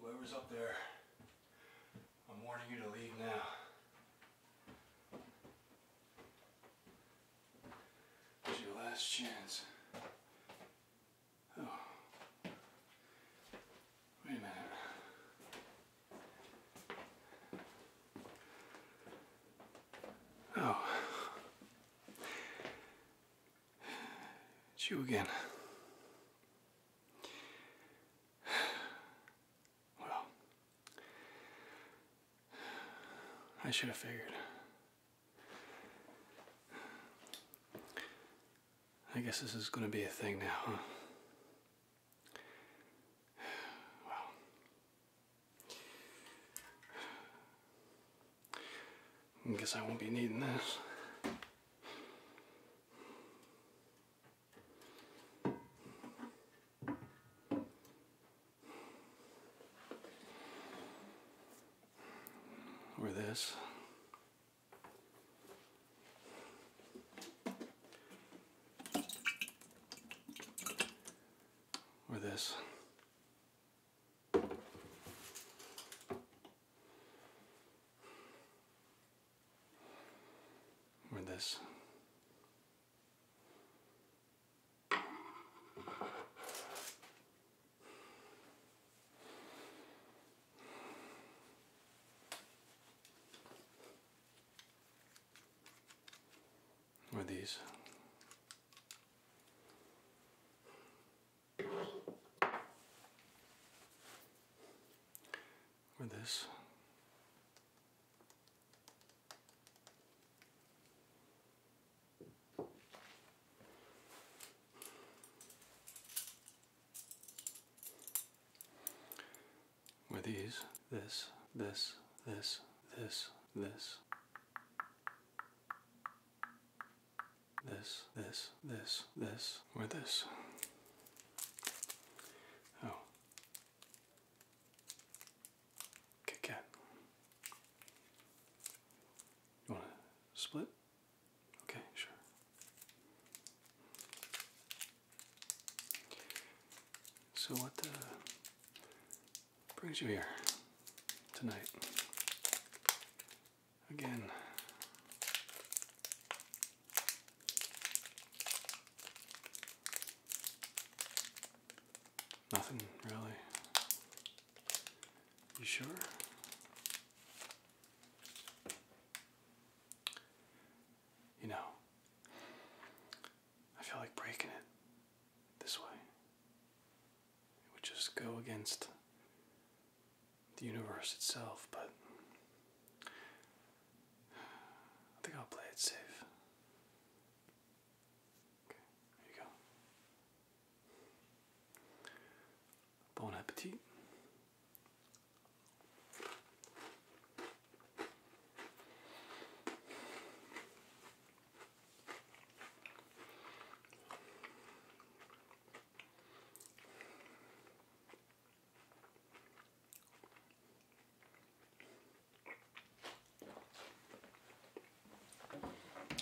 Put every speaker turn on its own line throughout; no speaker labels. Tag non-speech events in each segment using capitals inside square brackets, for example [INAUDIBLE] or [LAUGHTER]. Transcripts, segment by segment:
Whoever's up there, I'm warning you to leave now. It's your last chance. Oh. Wait a minute. Oh. It's you again. [SIGHS] Well, I should have figured. I guess this is going to be a thing now, huh? [SIGHS] Well, [SIGHS] I guess I won't be needing this. Or this. Or this or this. Or these with these, this, this, this, this, this this, this, this, this, or this. Oh. Kit Kat. You want to split? Okay, sure. So, what uh, brings you here tonight? again. Nothing really. You sure? You know, I feel like breaking it this way. It would just go against the universe itself, but I think I'll play it safe. Okay, here you go. Bon appetit.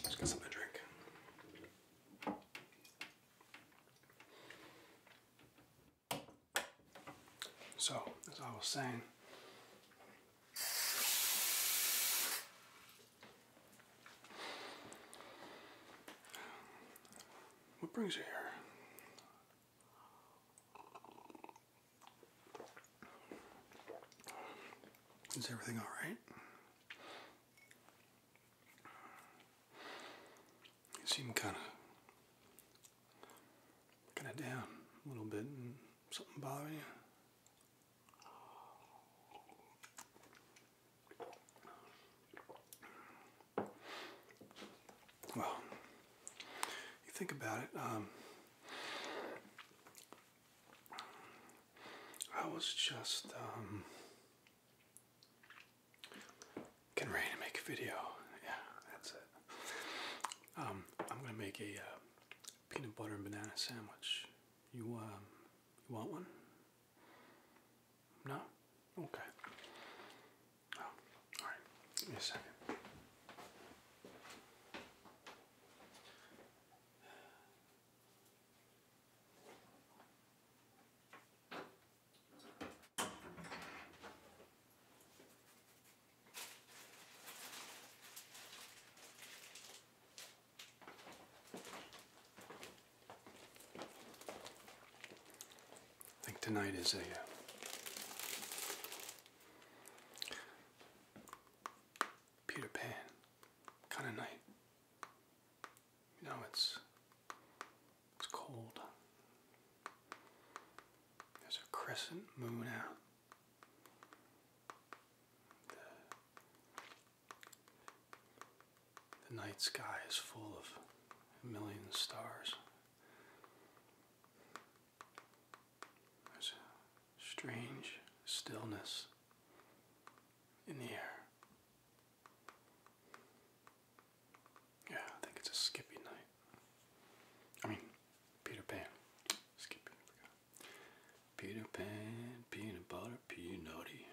Just got something to drink. So, as I was saying, what brings you here? Is everything all right? You seem kind of, kind of down a little bit. Something bothering you? Well, you think about it. Um, I was just um, getting ready to make a video. Yeah, that's it. Um, I'm gonna make a uh, peanut butter and banana sandwich. You you want one? No? Okay. Oh, alright. Give me a second. I think tonight is a uh, Peter Pan kind of night. You know, it's it's cold. There's a crescent moon out. The night sky is full of a million stars. There's a strange stillness in the air. Yeah, I think it's a Skippy night. I mean, Peter Pan. Skippy, Peter Pan, peanut butter, peanutty.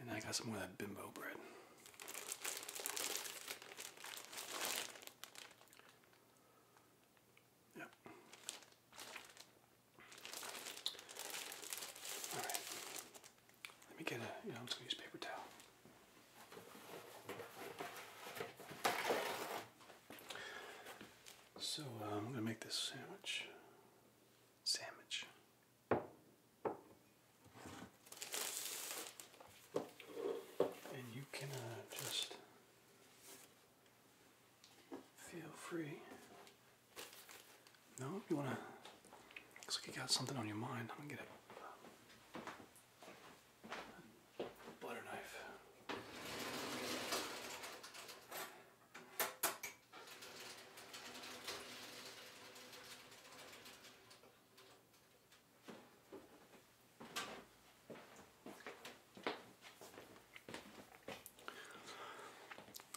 And I got some more of that bimbo bread. Yep. All right. Let me get a, you know, I'm going to use paper towel. So uh, I'm going to make this sandwich. Sandwich. And you can uh, just feel free. No, you wanna. Looks like you got something on your mind. I'm gonna get it. butter knife.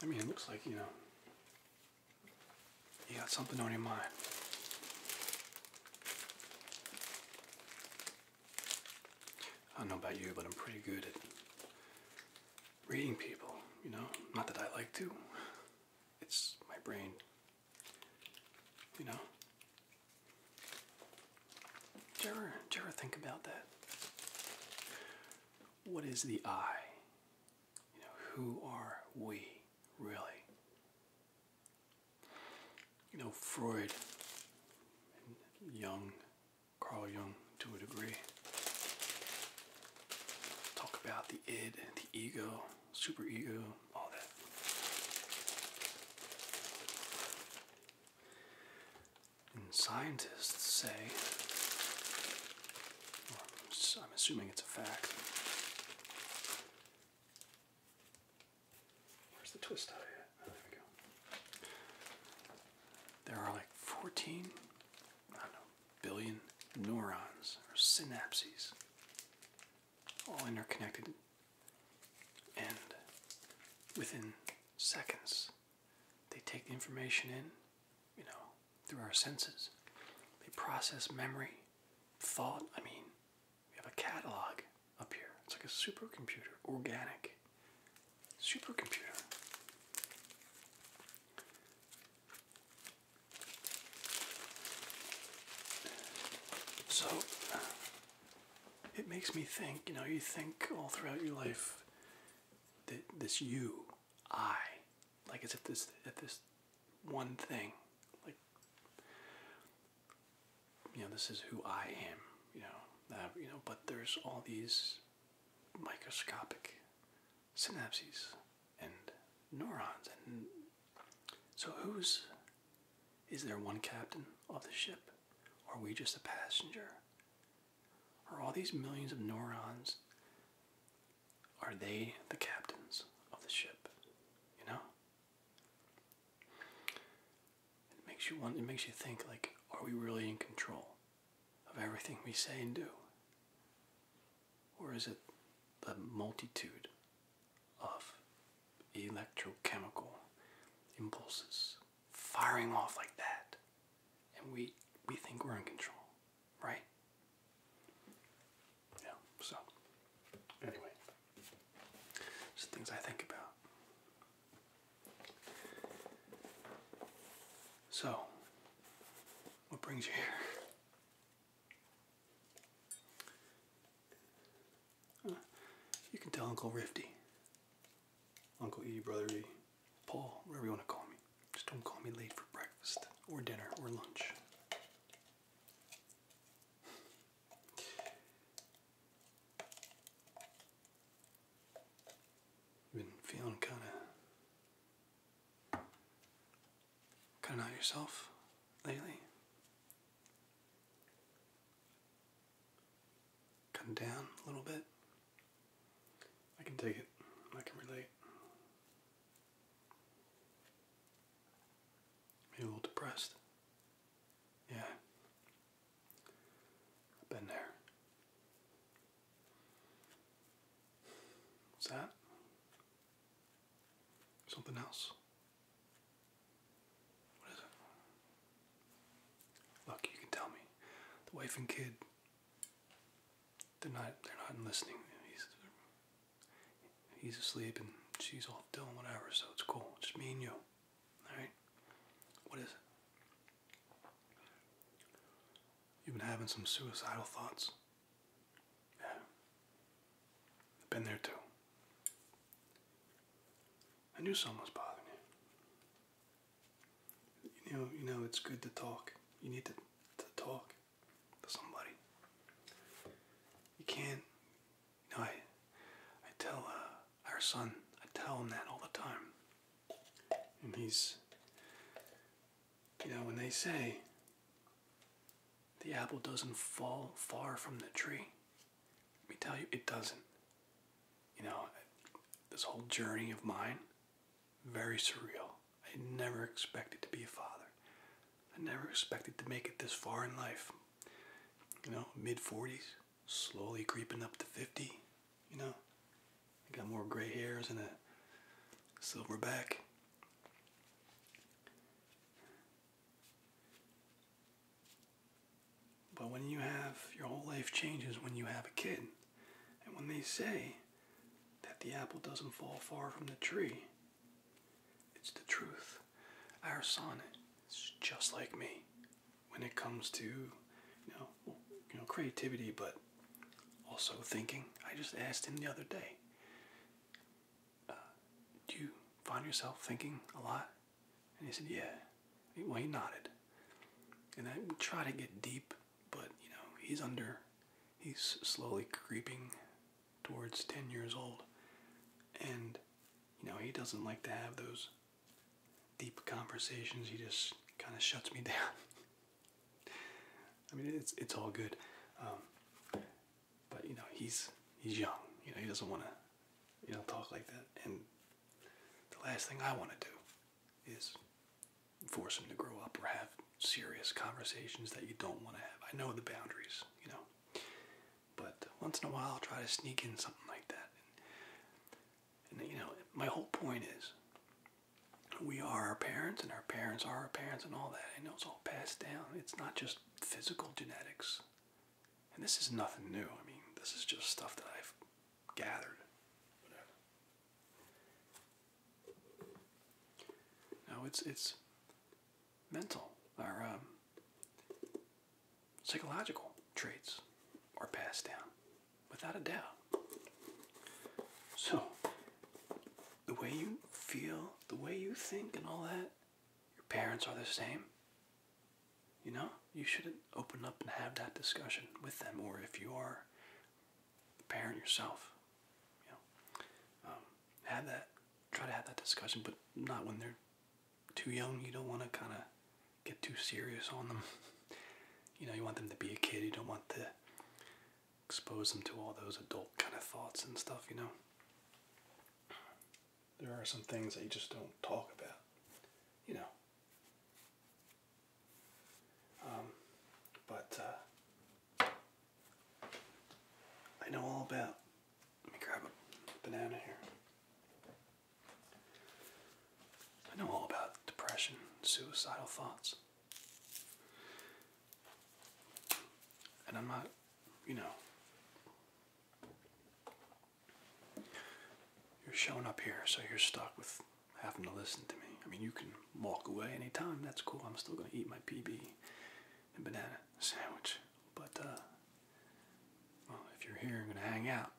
I mean, it looks like, you know, you got something on your mind. I don't know about you, but I'm pretty good at reading people, you know? Not that I like to. It's my brain. You know? Do you, think about that? What is the I? You know, who are we really? You know, Freud Young, Jung, Carl Jung to a degree, Talk about the id, the ego, super ego, all that. And scientists say, well, I'm assuming it's a fact. Where's the twist out of oh, it? there we go. There are like 14 I don't know, billion neurons or synapses, all interconnected. And within seconds, they take the information in, you know, through our senses. They process memory, thought. I mean, we have a catalog up here. It's like a supercomputer, organic supercomputer. So it makes me think, you know, you think all throughout your life that this you, I, like as if this at this one thing, like you know, this is who I am, you know, you know, but there's all these microscopic synapses and neurons and so who's is there one captain of the ship? or we just a passenger? Are all these millions of neurons are they the captains of the ship? You know? It makes you want it makes you think like, are we really in control? of everything we say and do? Or is it the multitude of electrochemical impulses firing off like that? And we, we think we're in control, right? Yeah, so anyway, just things I think about. So, what brings you here? You can tell Uncle Rifty, Uncle E, Brother E, Paul, whatever you want to call me. Just don't call me late for breakfast or dinner or lunch. Been feeling kind of Cutting out yourself lately? Cutting down a little bit? I can take it. I can relate. Maybe a little depressed. Yeah. I've been there. What's that? Something else. What is it? Look, you can tell me. The wife and kid they're not they're not listening. He's he's asleep and she's off doing whatever, so it's cool. just me and you. Alright? What is it? You've been having some suicidal thoughts. Yeah. Been there too. I knew someone was bothering you. You know, you know it's good to talk. You need to, to talk to somebody. You can't. You know, I, I tell uh, our son. I tell him that all the time, and he's you know, when they say the apple doesn't fall far from the tree, let me tell you, it doesn't. You know, this whole journey of mine, very surreal. I never expected to be a father. I never expected to make it this far in life. You know, mid 40s, slowly creeping up to 50, you know, Got more gray hairs and a silver back. But when you have your whole life changes when you have a kid, and when they say that the apple doesn't fall far from the tree, it's the truth. Our son is just like me when it comes to you know you know creativity, but also thinking, I just asked him the other day, uh, do you find yourself thinking a lot? And he said, yeah. Well, he nodded. And I try to get deep, but you know, he's under, he's slowly creeping towards 10 years old. And, you know, he doesn't like to have those deep conversations. He just kind of shuts me [LAUGHS] down. I mean, it's it's all good, um, but you know he's he's young. You know he doesn't want to you know talk like that. And the last thing I want to do is force him to grow up or have serious conversations that you don't want to have. I know the boundaries, you know, but once in a while I'll try to sneak in something like that. and you know my whole point is we are our parents and our parents are our parents and all that. I know it's all passed down. It's not just physical genetics. And this is nothing new. I mean, this is just stuff that I've gathered. Now it's it's mental our um, psychological traits are passed down, without a doubt. So, the way you feel, the way you think, and all that, your parents are the same. You know, you should open up and have that discussion with them, or if you are a parent yourself, you know, um, have that, try to have that discussion, but not when they're too young. You don't want to kind of get too serious on them. [LAUGHS] you know, you want them to be a kid. You don't want the expose them to all those adult kind of thoughts and stuff, you know. There are some things that you just don't talk about, you know. Um, but uh, I know all about. Let me grab a banana here. I know all about depression, suicidal thoughts. And I'm not, you know, you're showing up here, so you're stuck with having to listen to me. I mean, you can walk away anytime, that's cool. I'm still going to eat my PB and banana sandwich. But, uh, well, if you're here, you're going to hang out.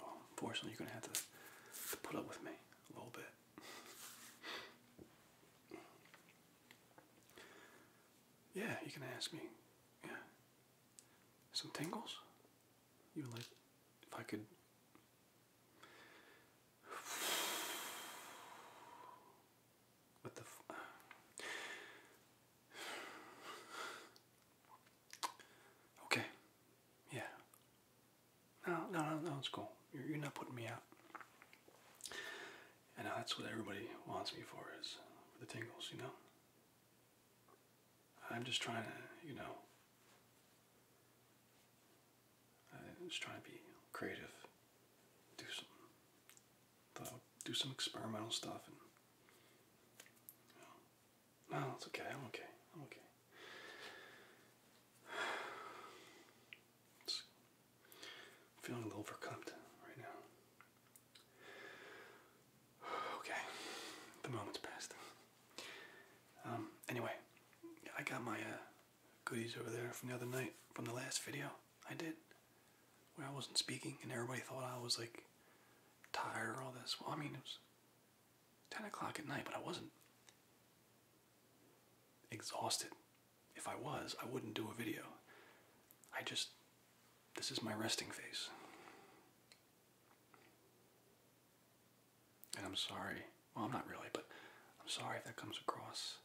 Well, unfortunately, you're going to have to put up with me a little bit. Yeah, you can ask me. Yeah. Some tangles. You would like if I could What the [SIGHS] Okay. Yeah. No, no, no, no, it's cool. You're, you're not putting me out. And that's what everybody wants me for is for the tingles, you know? I'm just trying to, you know, I'm just trying to be creative, do some, uh, do some experimental stuff, and no, it's okay. I'm okay. I'm okay. [SIGHS] [SIGHS] It's feeling a little overwhelmed right now. [SIGHS] Okay, the moment's passed. Um, anyway, I got my uh, goodies over there from the other night, from the last video I did, when I wasn't speaking and everybody thought I was like tired or all this. Well, I mean, it was 10 o'clock at night, but I wasn't exhausted. If I was, I wouldn't do a video. I just, this is my resting phase. And I'm sorry. Well, I'm not really, but I'm sorry if that comes across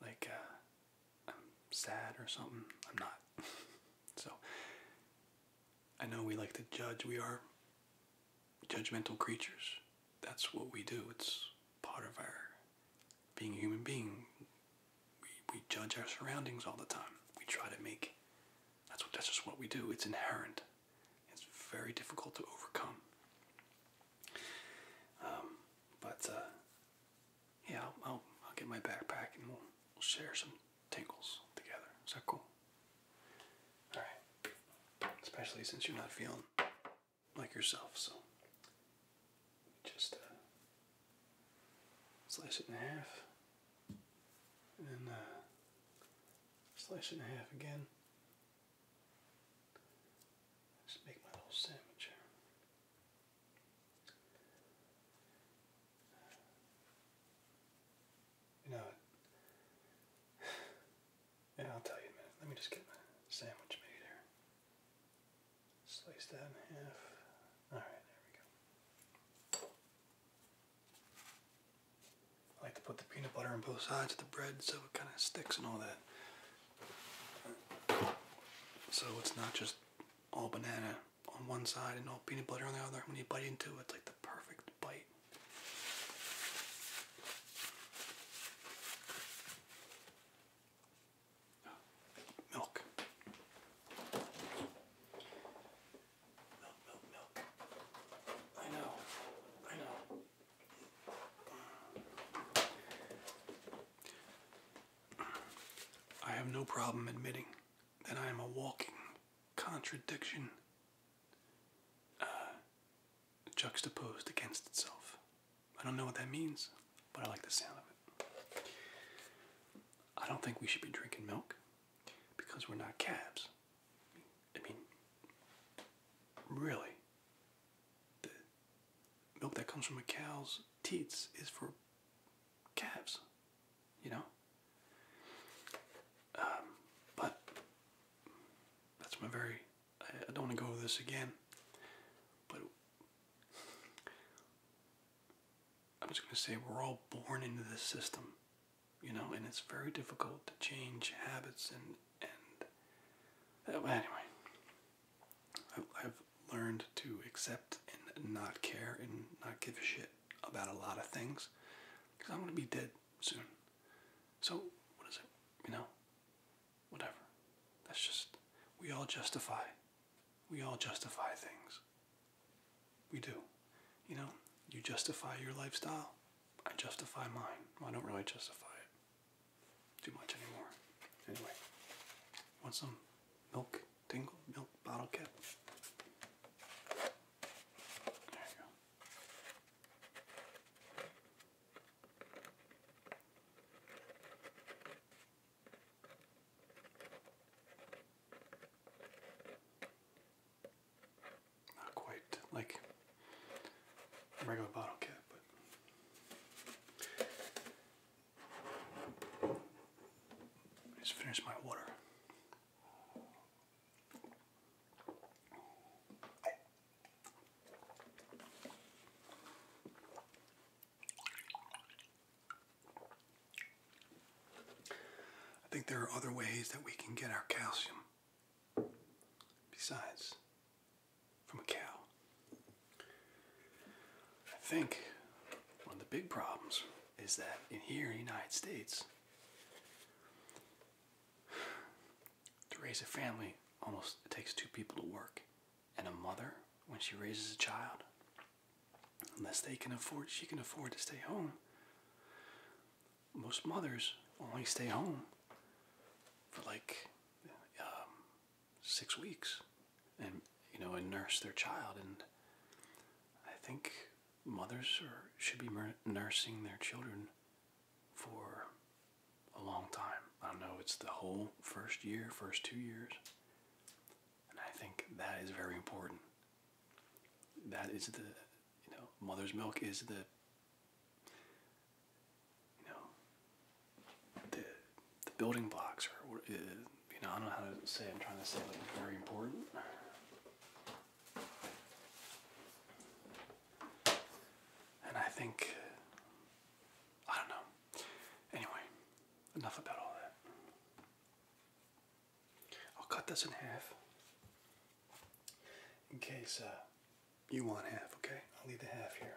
like uh, I'm sad or something. I'm not. [LAUGHS] so, I know we like to judge. We are judgmental creatures. That's what we do. It's part of our being a human being. We, we judge our surroundings all the time. We try to make that's what that's just what we do. It's inherent. It's very difficult to overcome. Um, but uh, yeah, I'll, I'll, I'll get my backpack and we'll, we'll share some tingles together. Is that cool? All right. Especially since you're not feeling like yourself. So just uh, slice it in half and uh, slice it in half again. Just make my little sandwich You know, yeah, I'll tell you a minute. Let me just get my sandwich made here. Slice that in half. Alright, there we go. I like to put the peanut butter on both sides of the bread so it kind of sticks and all that. So it's not just all banana on one side and all peanut butter on the other. When you bite into it, it's like the perfect bite. Milk. Milk, milk, I know. I know. I have no problem admitting that I am a walking contradiction. Uh, juxtaposed against itself. I don't know what that means, but I like the sound of it. I don't think we should be drinking milk because we're not calves. I mean, really, the milk that comes from a cow's teats is for calves, you know? Um, but that's my very I don't want to go over this again, but I'm just going to say we're all born into this system, you know, and it's very difficult to change habits and and uh, anyway. I've learned to accept and not care and not give a shit about a lot of things because I'm going to be dead soon. So, what is it? You know, whatever. That's just, we all justify. We all justify things. We do. You know, you justify your lifestyle. I justify mine. I don't really justify it too much anymore. Anyway, want some milk tingle? Milk bottle cap? There you go. Not quite like regular bottle cap, but just finished my water. I think there are other ways that we can get our calcium besides from a cow. I think one of the big problems is that in here in the United States, to raise a family, almost it takes two people to work. And a mother, when she raises a child, unless they can afford, she can afford to stay home. Most mothers only stay home for like um, six weeks, and you know, and nurse their child. And I think mothers should be nursing their children for a long time. I don't know, it's the whole first year, first two years. And I think that is very important. That is the, you know, mother's milk is the, you know, the, the building blocks, or, uh, you know, I don't know how to say, I'm trying to say like very important. And I think, I don't know. Anyway, enough about all that. I'll cut this in half in case uh, you want half, okay? I'll leave the half here.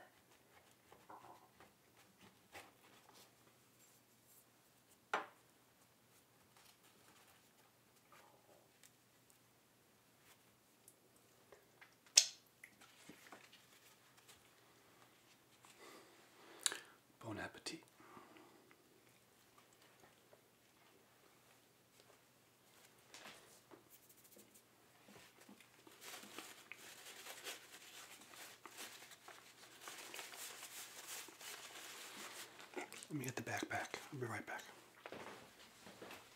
Bon appetit. Let me get the backpack. I'll be right back.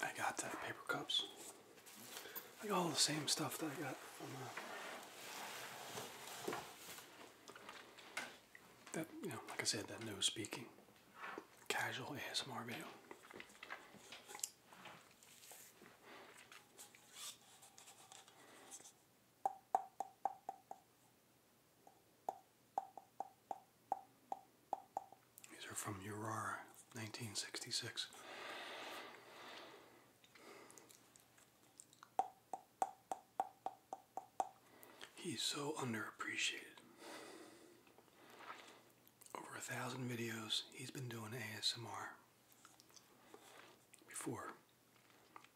I got the paper cups. I got all the same stuff that I got from uh, that, you know, like I said, that no speaking, casual ASMR video. These are from Aurora, 1966. He's so underappreciated. Over a thousand videos, he's been doing ASMR before.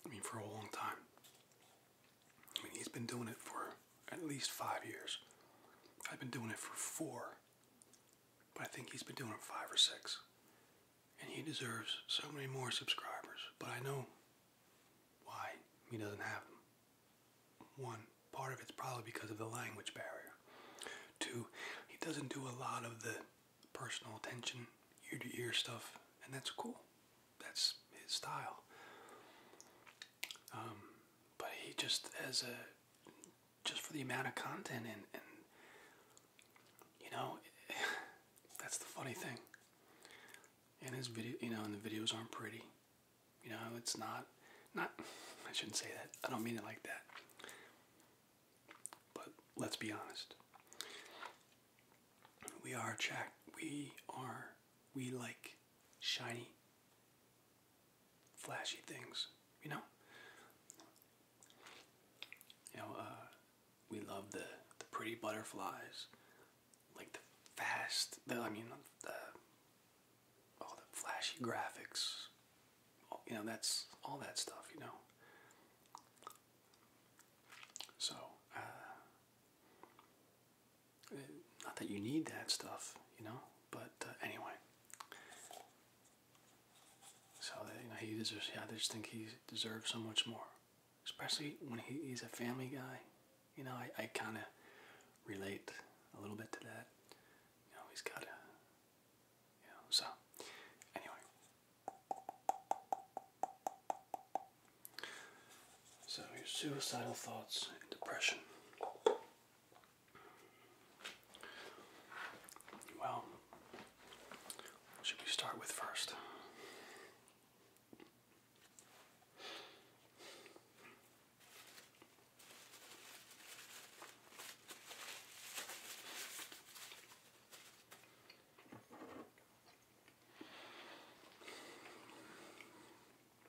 I mean, for a long time. I mean, he's been doing it for at least five years. I've been doing it for four, but I think he's been doing it five or six. And he deserves so many more subscribers, but I know why he doesn't have them. One, part of it's probably because of the language barrier. Two, he doesn't do a lot of the personal attention, ear to ear stuff, and that's cool. That's his style. Um, but he just as a just for the amount of content and, and you know [LAUGHS] that's the funny thing. And his video, you know, and the videos aren't pretty. You know, it's not not [LAUGHS] I shouldn't say that. I don't mean it like that. But let's be honest. We are checked. We are we like shiny, flashy things, you know? You know, uh, we love the, the pretty butterflies, like the fast, I mean, the, all the flashy graphics, you know, that's all that stuff, you know? So, uh, not that you need that stuff, you know, but uh, anyway. So uh, you know he deserves. Yeah, I just think he deserves so much more, especially when he's a family guy. You know, I, I kind of relate a little bit to that. You know, he's got a. You know, so anyway. So, your suicidal thoughts and depression. Well, should we start with first?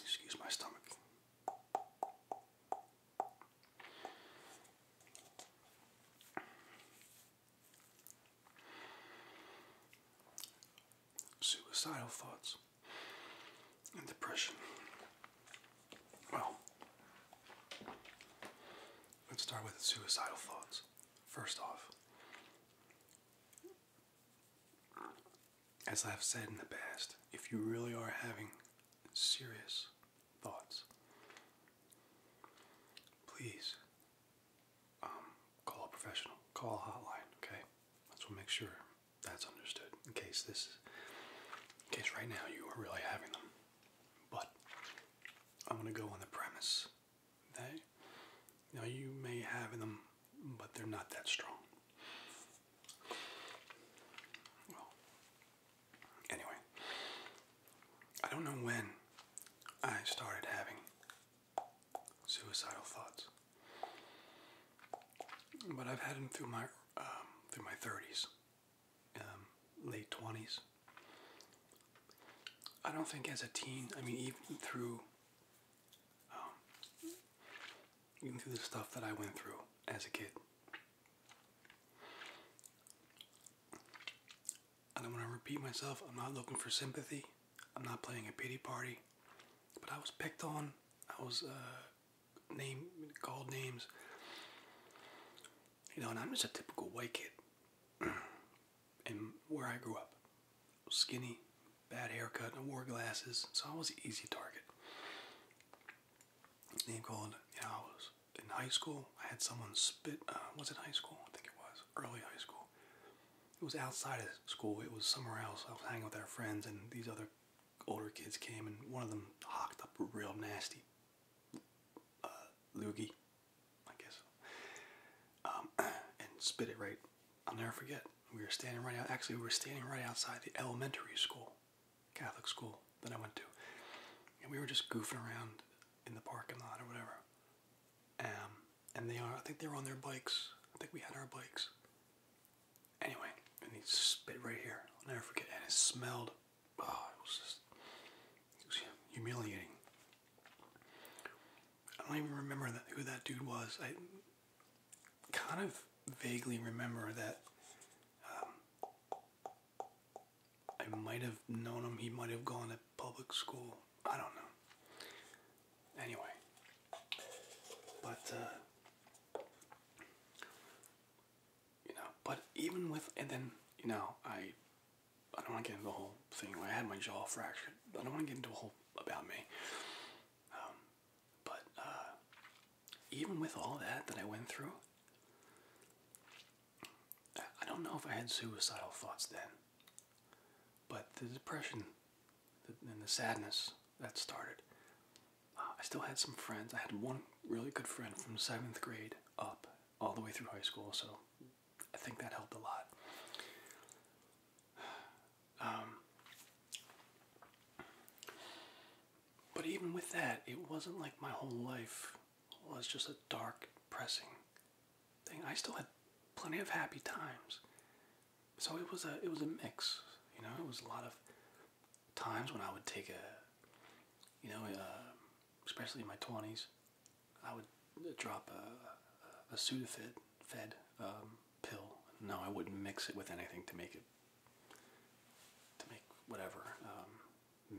Excuse my stomach. Suicidal thoughts and depression. Well, Let's start with suicidal thoughts. First off, as I've said in the past, if you really are having serious thoughts, please um, call a professional, call a hotline, okay? Let's make sure that's understood in case this, in case right now you are really having them. But I'm going to go on the premise that now you may have them, but they're not that strong. Well, anyway, I don't know when I started having suicidal thoughts, but I've had them through my um, through my 30s. Um, late 20s. I don't think as a teen, I mean, even through, um, even through the stuff that I went through as a kid, I don't want to repeat myself. I'm not looking for sympathy. I'm not playing a pity party. But I was picked on. I was uh, named, called names. You know, and I'm just a typical white kid. [CLEARS THROAT] and where I grew up, skinny, bad haircut, I wore glasses, so I was an easy target. Name calling, you know, I was in high school. I had someone spit. Uh, was it high school? I think it was early high school. It was outside of school. It was somewhere else. I was hanging with our friends, and these other older kids came, and one of them hocked up real nasty. Uh, loogie, I guess, um, [CLEARS THROAT] and spit it right. I'll never forget. We were standing right out. Actually, we were standing right outside the elementary school, Catholic school that I went to, and we were just goofing around in the parking lot or whatever. Um, and they are. I think they were on their bikes. I think we had our bikes. Anyway, and he spit right here. I'll never forget. And it smelled oh, it was just humiliating. I don't even remember that, who that dude was. I kind of vaguely remember that um, I might have known him. He might have gone to public school. I don't know. Anyway, but uh, you know, but even with and then you know I I don't want to get into the whole thing. I had my jaw fractured. I don't want to get into a whole about me. Um, but uh, even with all that that I went through, I don't know if I had suicidal thoughts then. But the depression and the sadness that started, uh, I still had some friends. I had one really good friend from seventh grade up all the way through high school, so I think that helped a lot. Um, but even with that, it wasn't like my whole life was just a dark, pressing thing. I still had plenty of happy times. So it was a it was a mix, you know. It was a lot of times when I would take a, you know, especially in my 20s, I would drop a, a Sudafed fed, um, pill. No, I wouldn't mix it with anything to make it, to make whatever, um,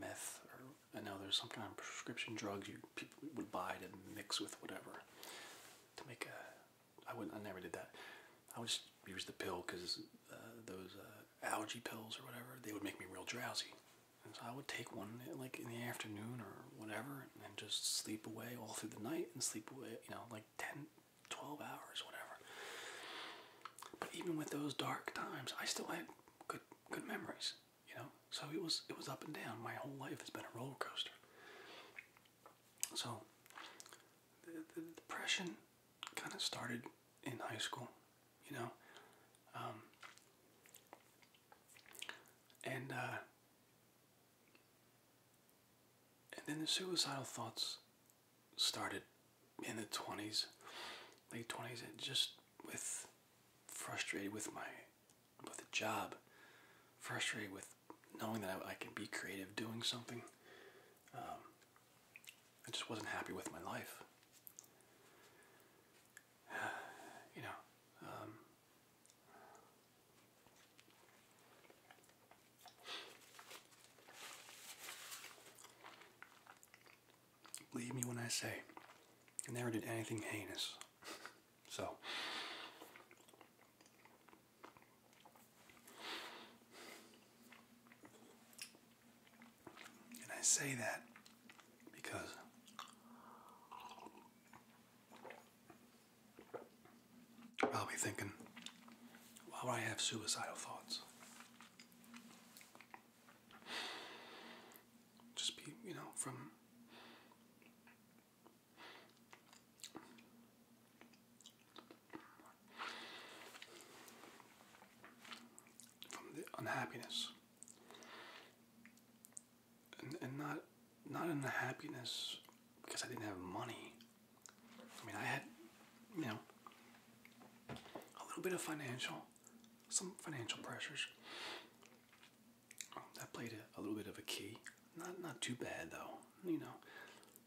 meth or, I know there's some kind of prescription drugs you people would buy to mix with whatever, to make a, I wouldn't, I never did that. I would just use the pill because uh, those uh, algae pills or whatever, they would make me real drowsy so I would take one like in the afternoon or whatever and just sleep away all through the night and sleep away, you know, like 10, 12 hours, whatever. But even with those dark times, I still had good good memories, you know. So it was it was up and down. My whole life has been a roller coaster. So the depression kind of started in high school you know. Um, and uh, and then the suicidal thoughts started in the twenties, late twenties, and just with frustrated with my with the job, frustrated with knowing that I, can be creative doing something. Um, I just wasn't happy with my life. [SIGHS] you know, um, believe me when I say I never did anything heinous. [LAUGHS] so. And I say that because you're probably thinking, why would I have suicidal thoughts? Just be, you know, from from the unhappiness and, not not in the happiness because I didn't have money. I mean, I had you know a little bit of financial, some financial pressures um, that played a little bit of a key. Not not too bad though, you know,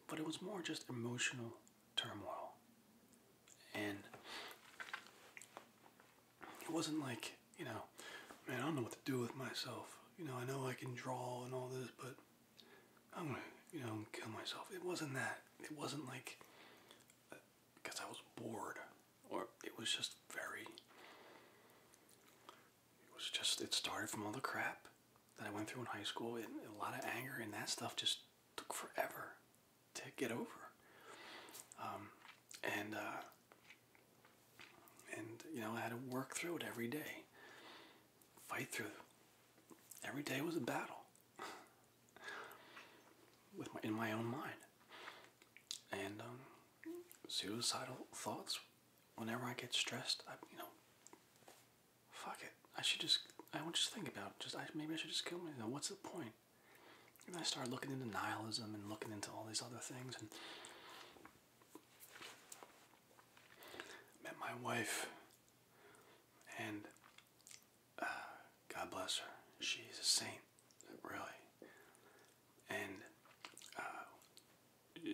but it was more just emotional turmoil and it wasn't like, you know, man, I don't know what to do with myself. You know, I know I can draw and all this, but I'm gonna, you know, kill myself. It wasn't that. It wasn't like because uh, I was bored, or it was just very. It was just, it started from all the crap that I went through in high school, and a lot of anger, and that stuff just took forever to get over. Um, and uh, and you know I had to work through it every day, fight through. Every day was a battle [LAUGHS] with my in my own mind, and um, suicidal thoughts. Whenever I get stressed, I you know, fuck it. I should just I won't just think about it. just maybe I should just kill myself. What's the point? And I started looking into nihilism and looking into all these other things and met my wife and uh, God bless her. She's a saint, really. And uh,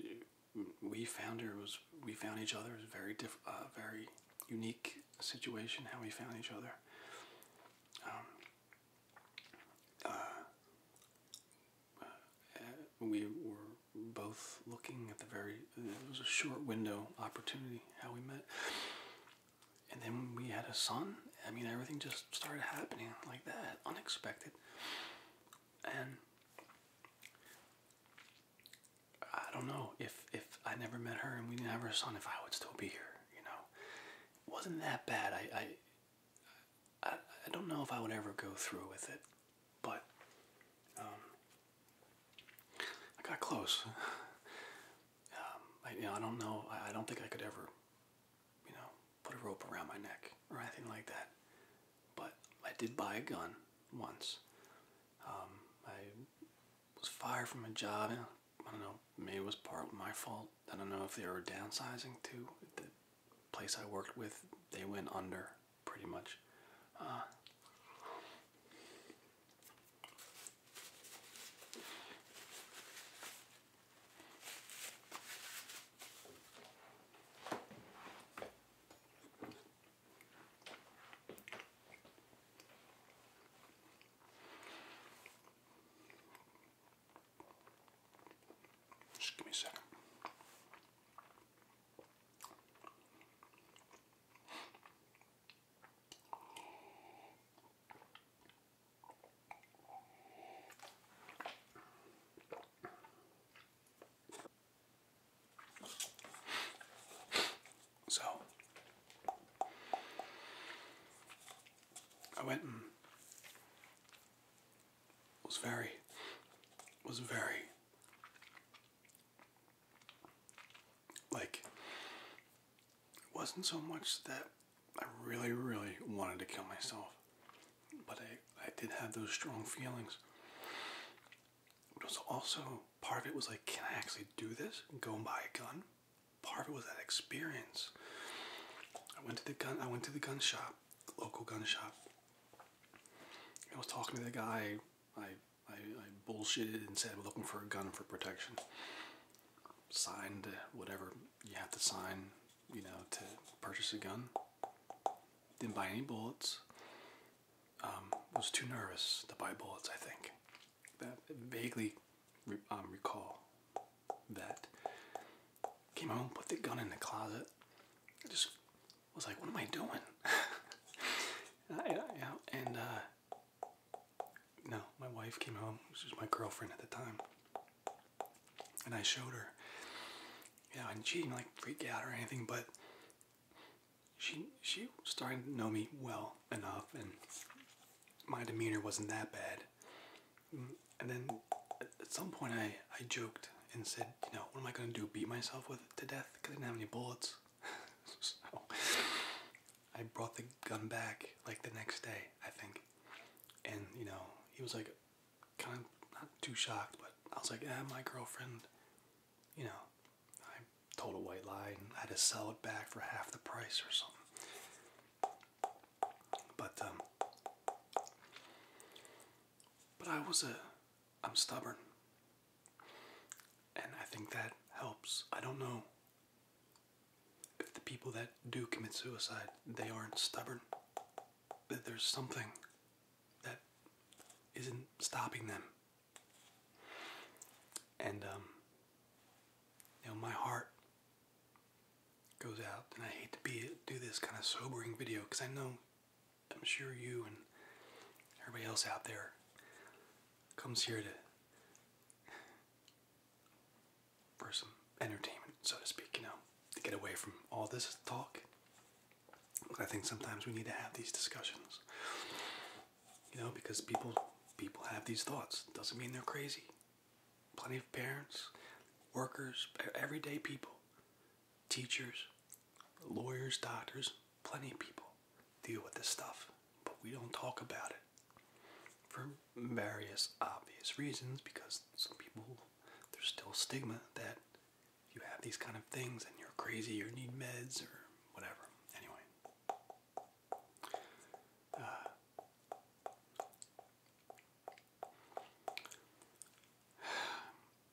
we found her was we found each other was very diff, uh, very unique situation how we found each other. Um, uh, uh, we were both looking at the very it was a short window opportunity how we met and then we had a son i mean everything just started happening like that unexpected and i don't know if if i never met her and we didn't have her son if i would still be here you know wasn't that bad. I, I don't know if I would ever go through with it, but um, I got close. Um, I, you know, I don't know. I, don't think I could ever, you know, put a rope around my neck or anything like that. But I did buy a gun once. Um, I was fired from a job. I don't know. Maybe it was part of my fault. I don't know if they were downsizing to the place I worked with. They went under pretty much. Just give me a second. So I went and was very, was very, like, it wasn't so much that I really, really wanted to kill myself, but I, I did have those strong feelings. It was also part of it was like, can I actually do this? Go and buy a gun? part of it was that experience. I went to the gun. I went to the gun shop, local gun shop. I was talking to the guy. I I, bullshitted and said I'm looking for a gun for protection. Signed uh, whatever you have to sign, you know, to purchase a gun. Didn't buy any bullets. Um, was too nervous to buy bullets. I think that vaguely um, recall that. Came home, put the gun in the closet. I just was like, what am I doing? [LAUGHS] and, uh, no, my wife came home. She was my girlfriend at the time. And I showed her. Yeah, and she didn't like freak out or anything, but she she starting to know me well enough, and my demeanor wasn't that bad. And then at some point, I, I joked and said, you know, what am I going to do? Beat myself with to death? Because I didn't have any bullets. [LAUGHS] I brought the gun back like the next day, I think. And, you know, he was like, kind of not too shocked, but I was like, yeah, my girlfriend, you know, I told a white lie and I had to sell it back for half the price or something. But um, but I was a I'm stubborn, and I think that helps. I don't know if the people that do commit suicide they aren't stubborn. That there's something that isn't stopping them, and um, you know my heart goes out. And I hate to be do this kind of sobering video because I know I'm sure you and everybody else out there comes here to for some entertainment, so to speak, you know, to get away from all this talk. I think sometimes we need to have these discussions. You know, because people people have these thoughts. Doesn't mean they're crazy plenty of parents, workers, everyday people, teachers, lawyers, doctors, plenty of people deal with this stuff, but we don't talk about it for various obvious reasons because some people there's still stigma that you have these kind of things and you're crazy or need meds or whatever. Anyway, uh,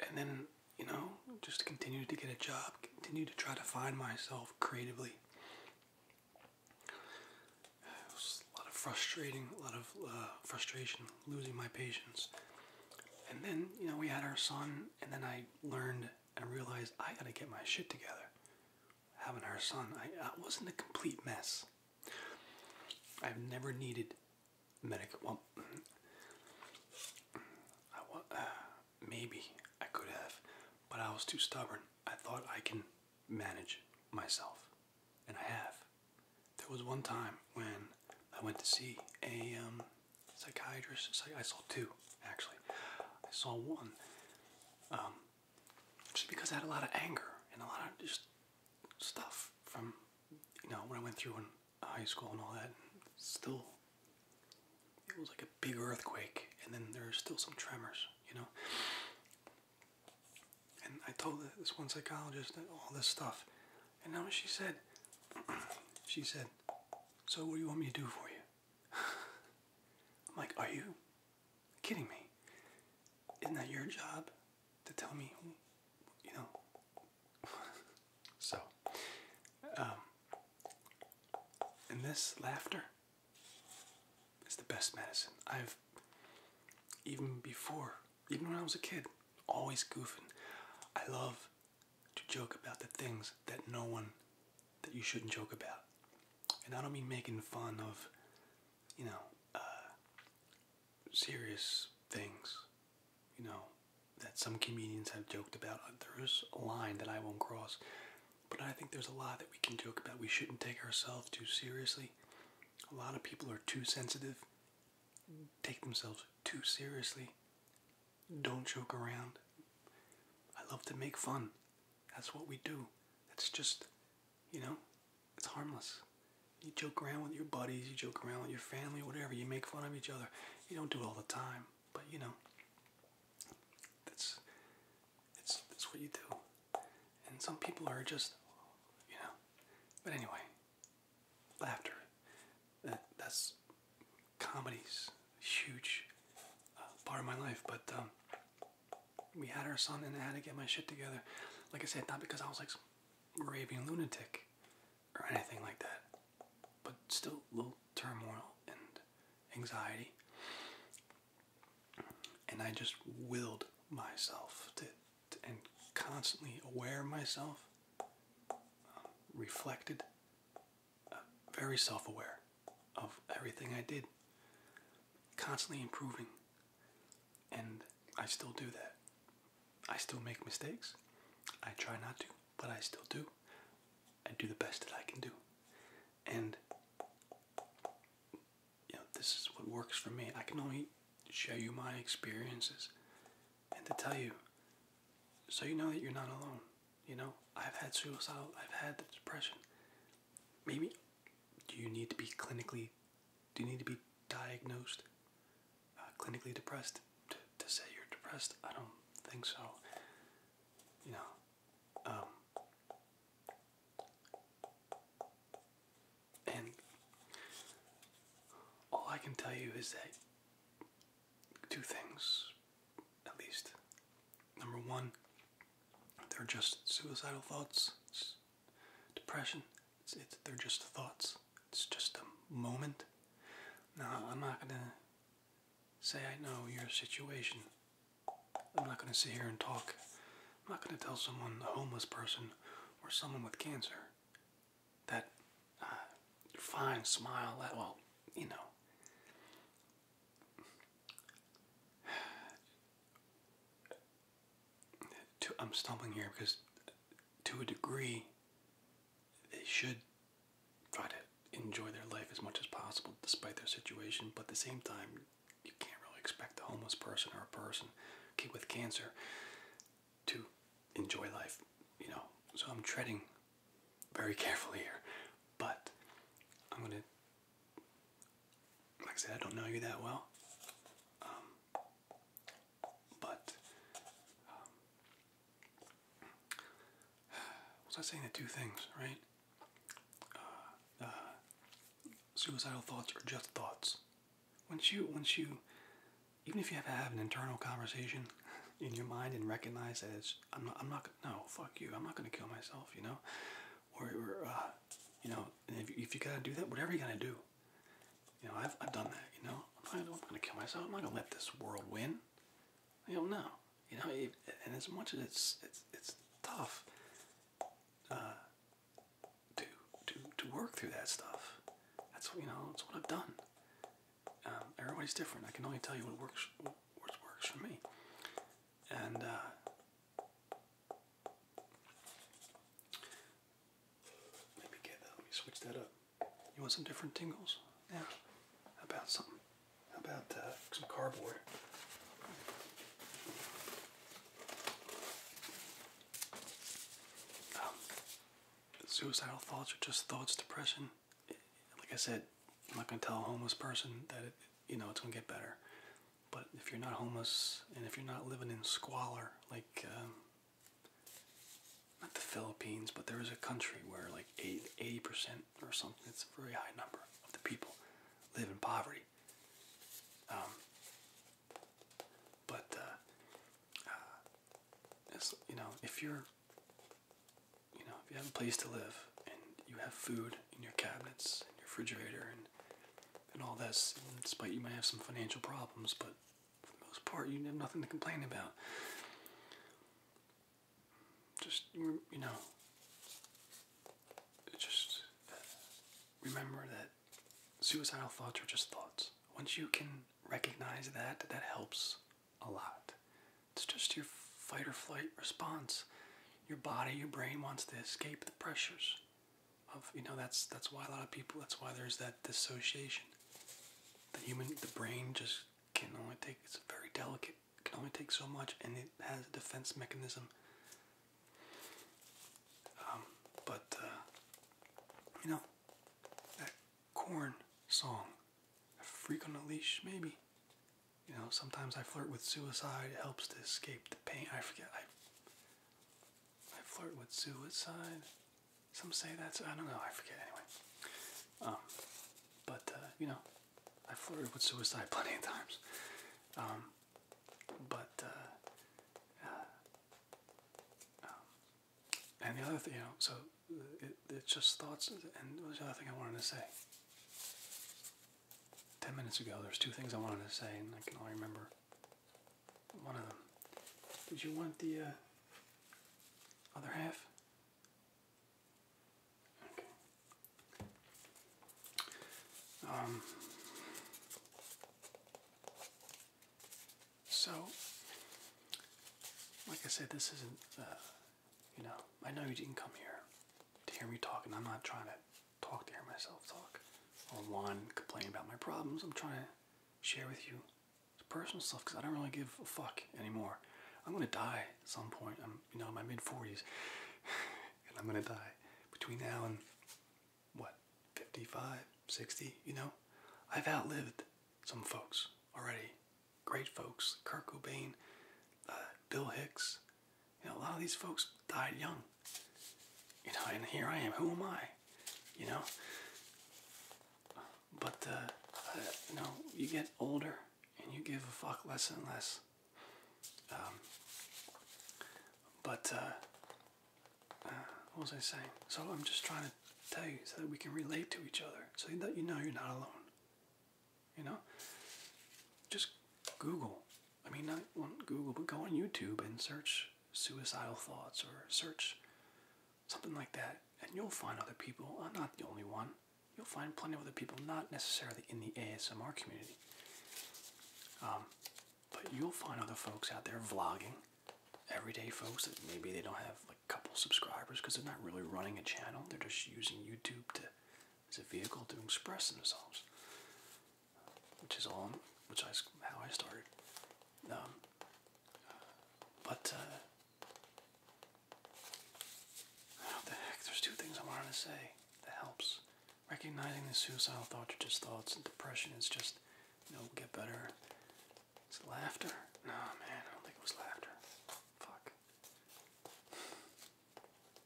and then, you know, just continue to get a job, continue to try to find myself creatively. a lot of frustrating, a lot of uh, frustration, losing my patience. And then, you know, we had our son, and then I learned and realized I gotta get my shit together having our son, I, I wasn't a complete mess. I've never needed medical. Well, [CLEARS THROAT] I want, uh, maybe I could have, but I was too stubborn. I thought I can manage myself, and I have. There was one time when I went to see a um, psychiatrist. I saw two actually. I saw one. Um, just because I had a lot of anger and a lot of just stuff from you know when I went through in high school and all that. And still, it was like a big earthquake, and then there's still some tremors, you know. And I told this one psychologist that all this stuff, and now she said, [CLEARS THROAT] she said, "So what do you want me to do for you?" [LAUGHS] I'm like, "Are you Kidding me? Isn't that your job to tell me, you know? [LAUGHS] so, um, and this laughter is the best medicine. I've, even before, even when I was a kid, always goofing. I love to joke about the things that no one, that you shouldn't joke about. And I don't mean making fun of you know, uh, serious things, you know, that some comedians have joked about. Uh, there's a line that I won't cross, but I think there's a lot that we can joke about. We shouldn't take ourselves too seriously. A lot of people are too sensitive, take themselves too seriously, don't joke around. I love to make fun. That's what we do. It's just you know, it's harmless. You joke around with your buddies, you joke around with your family, whatever. You make fun of each other. You don't do it all the time, but you know, that's that's that's what you do. And some people are just, you know. But anyway, laughter. that's comedy's huge uh, part of my life. But um, we had our son and I had to get my shit together. Like I said, not because I was like raving lunatic or anything like that, but still a little turmoil and anxiety. And I just willed myself to, and constantly aware of myself, um, reflected, uh, very self aware of everything I did constantly improving. And I still do that. I still make mistakes. I try not to, but I still do. I do the best that I can do. And you know, this is what works for me. I can only show you my experiences and to tell you so you know that you're not alone. You know, I've had suicidal, I've had the depression maybe do you need to be clinically do you need to be diagnosed uh, clinically depressed to, to say you're depressed i don't think so you know um, and all i can tell you is that two things at least number one they're just suicidal thoughts Depression, it's, they're just thoughts. It's just a moment. Now, I'm not going to say I know your situation. I'm not going to sit here and talk. I'm not going to tell someone, a homeless person or someone with cancer, that uh, fine, smile, that, well, you know to, I'm stumbling here because to a degree they should try to enjoy their life as much as possible despite their situation, but at the same time you can't really expect a homeless person or a person with cancer to enjoy life, you know. So I'm treading very [LAUGHS] carefully here, but I'm going to like I said, I don't know you that well, um, but um, was [SIGHS] I saying the two things, right? Uh, uh, suicidal thoughts are just thoughts. Once you, once you, even if you have to have an internal conversation [LAUGHS] in your mind and recognize that it's, I'm not, I'm not, no, fuck you, I'm not gonna kill myself, you know, or, or uh, you know, if you, gotta do that, whatever you gotta do, you know, I've I've done that. You know, I'm gonna kill myself. I'm not gonna let this world win. You know, You know, and as much as it's it's it's tough uh, to to to work through that stuff. That's what you know. That's what I've done. Um, everybody's different. I can only tell you what works what works for me. And uh, let me get that. Let me switch that up. You want some different tingles? Yeah. How about something? How about uh, some cardboard? Um, suicidal thoughts are just thoughts, depression. Like I said, I'm not gonna tell a homeless person that it, you know it's gonna get better. But if you're not homeless and if you're not living in squalor, like um, not the Philippines, but there is a country where like 80 percent or something, it's a very high number of the people live in poverty. Um, but uh, uh, you know, if you're, you know, if you have a place to live and you have food in your cabinets and your refrigerator and and all this. despite you may have some financial problems, but for the most part, you have nothing to complain about. Just, you know, just uh, remember that suicidal thoughts are just thoughts. Once you can recognize that, that helps a lot. It's just your fight or flight response. Your body, your brain wants to escape the pressures of you know that's that's why a lot of people that's why there's that dissociation. The human the brain just can only take it's very delicate, can only take so much and it has a defense mechanism. Um, but uh, you know that corn song, a freak on a leash maybe. You know, sometimes I flirt with suicide. It helps to escape the pain. I forget. I I flirt with suicide. Some say that's I don't know. I forget anyway. Um, but uh, you know, I flirted with suicide [LAUGHS] plenty of times. Um, but uh, uh, um, and the other thing, you know, so it, it's just thoughts. And what was the other thing I wanted to say? ten minutes ago, there's two things I wanted to say, and I can only remember one of them. Did you want the uh, other half? Okay. Um. So, like I said, this isn't. Uh, you know, I know you didn't come here to hear me talking. I'm not trying to talk to hear myself talk. or one whine, complain about my problems. I'm trying to share with you personal stuff because I don't really give a fuck anymore. I'm gonna die at some point. I'm you know in my mid 40s, [SIGHS] and I'm gonna die between now and what 55, 60. You know, I've outlived some folks already. Great folks, Kurt Cobain, uh, Bill Hicks, you know, a lot of these folks died young. You know, and here I am. Who am I? You know. But uh, you know, you get older and you give a fuck less and less. Um, but uh, uh, what was I saying? So I'm just trying to tell you so that we can relate to each other, so that you know you're not alone. You know, just Google I mean, not on Google, but go on YouTube and search suicidal thoughts or search something like that, and you'll find other people. I'm not the only one. You'll find plenty of other people, not necessarily in the ASMR community. Um, but you'll find other folks out there vlogging, everyday folks that maybe they don't have a couple subscribers because they're not really running a channel. They're just using YouTube as a vehicle to express themselves which is all, which is how I started. Um, but uh, what the heck? There's two things I wanted to say that helps. Recognizing the suicidal thoughts are just thoughts, and depression is just, you will get better. It's laughter. No, man, I don't think it was laughter. Fuck. [SIGHS]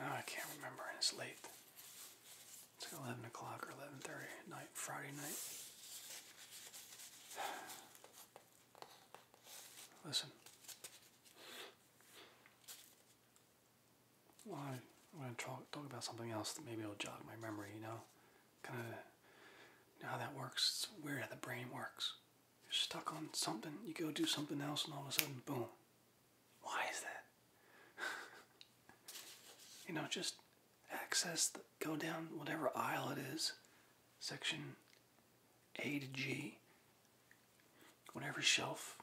I can't remember, it's late. It's 11 o'clock or 11.30 at night, Friday night. [SIGHS] Listen well, I going to talk, talk about something else that maybe will jog my memory, you know? Kind of how that works. It's weird how the brain works. You're stuck on something, you go do something else, and all of a sudden, boom. Why is that? [LAUGHS] you know, just access, the, go down whatever aisle it is, section A to G. Whenever shelf,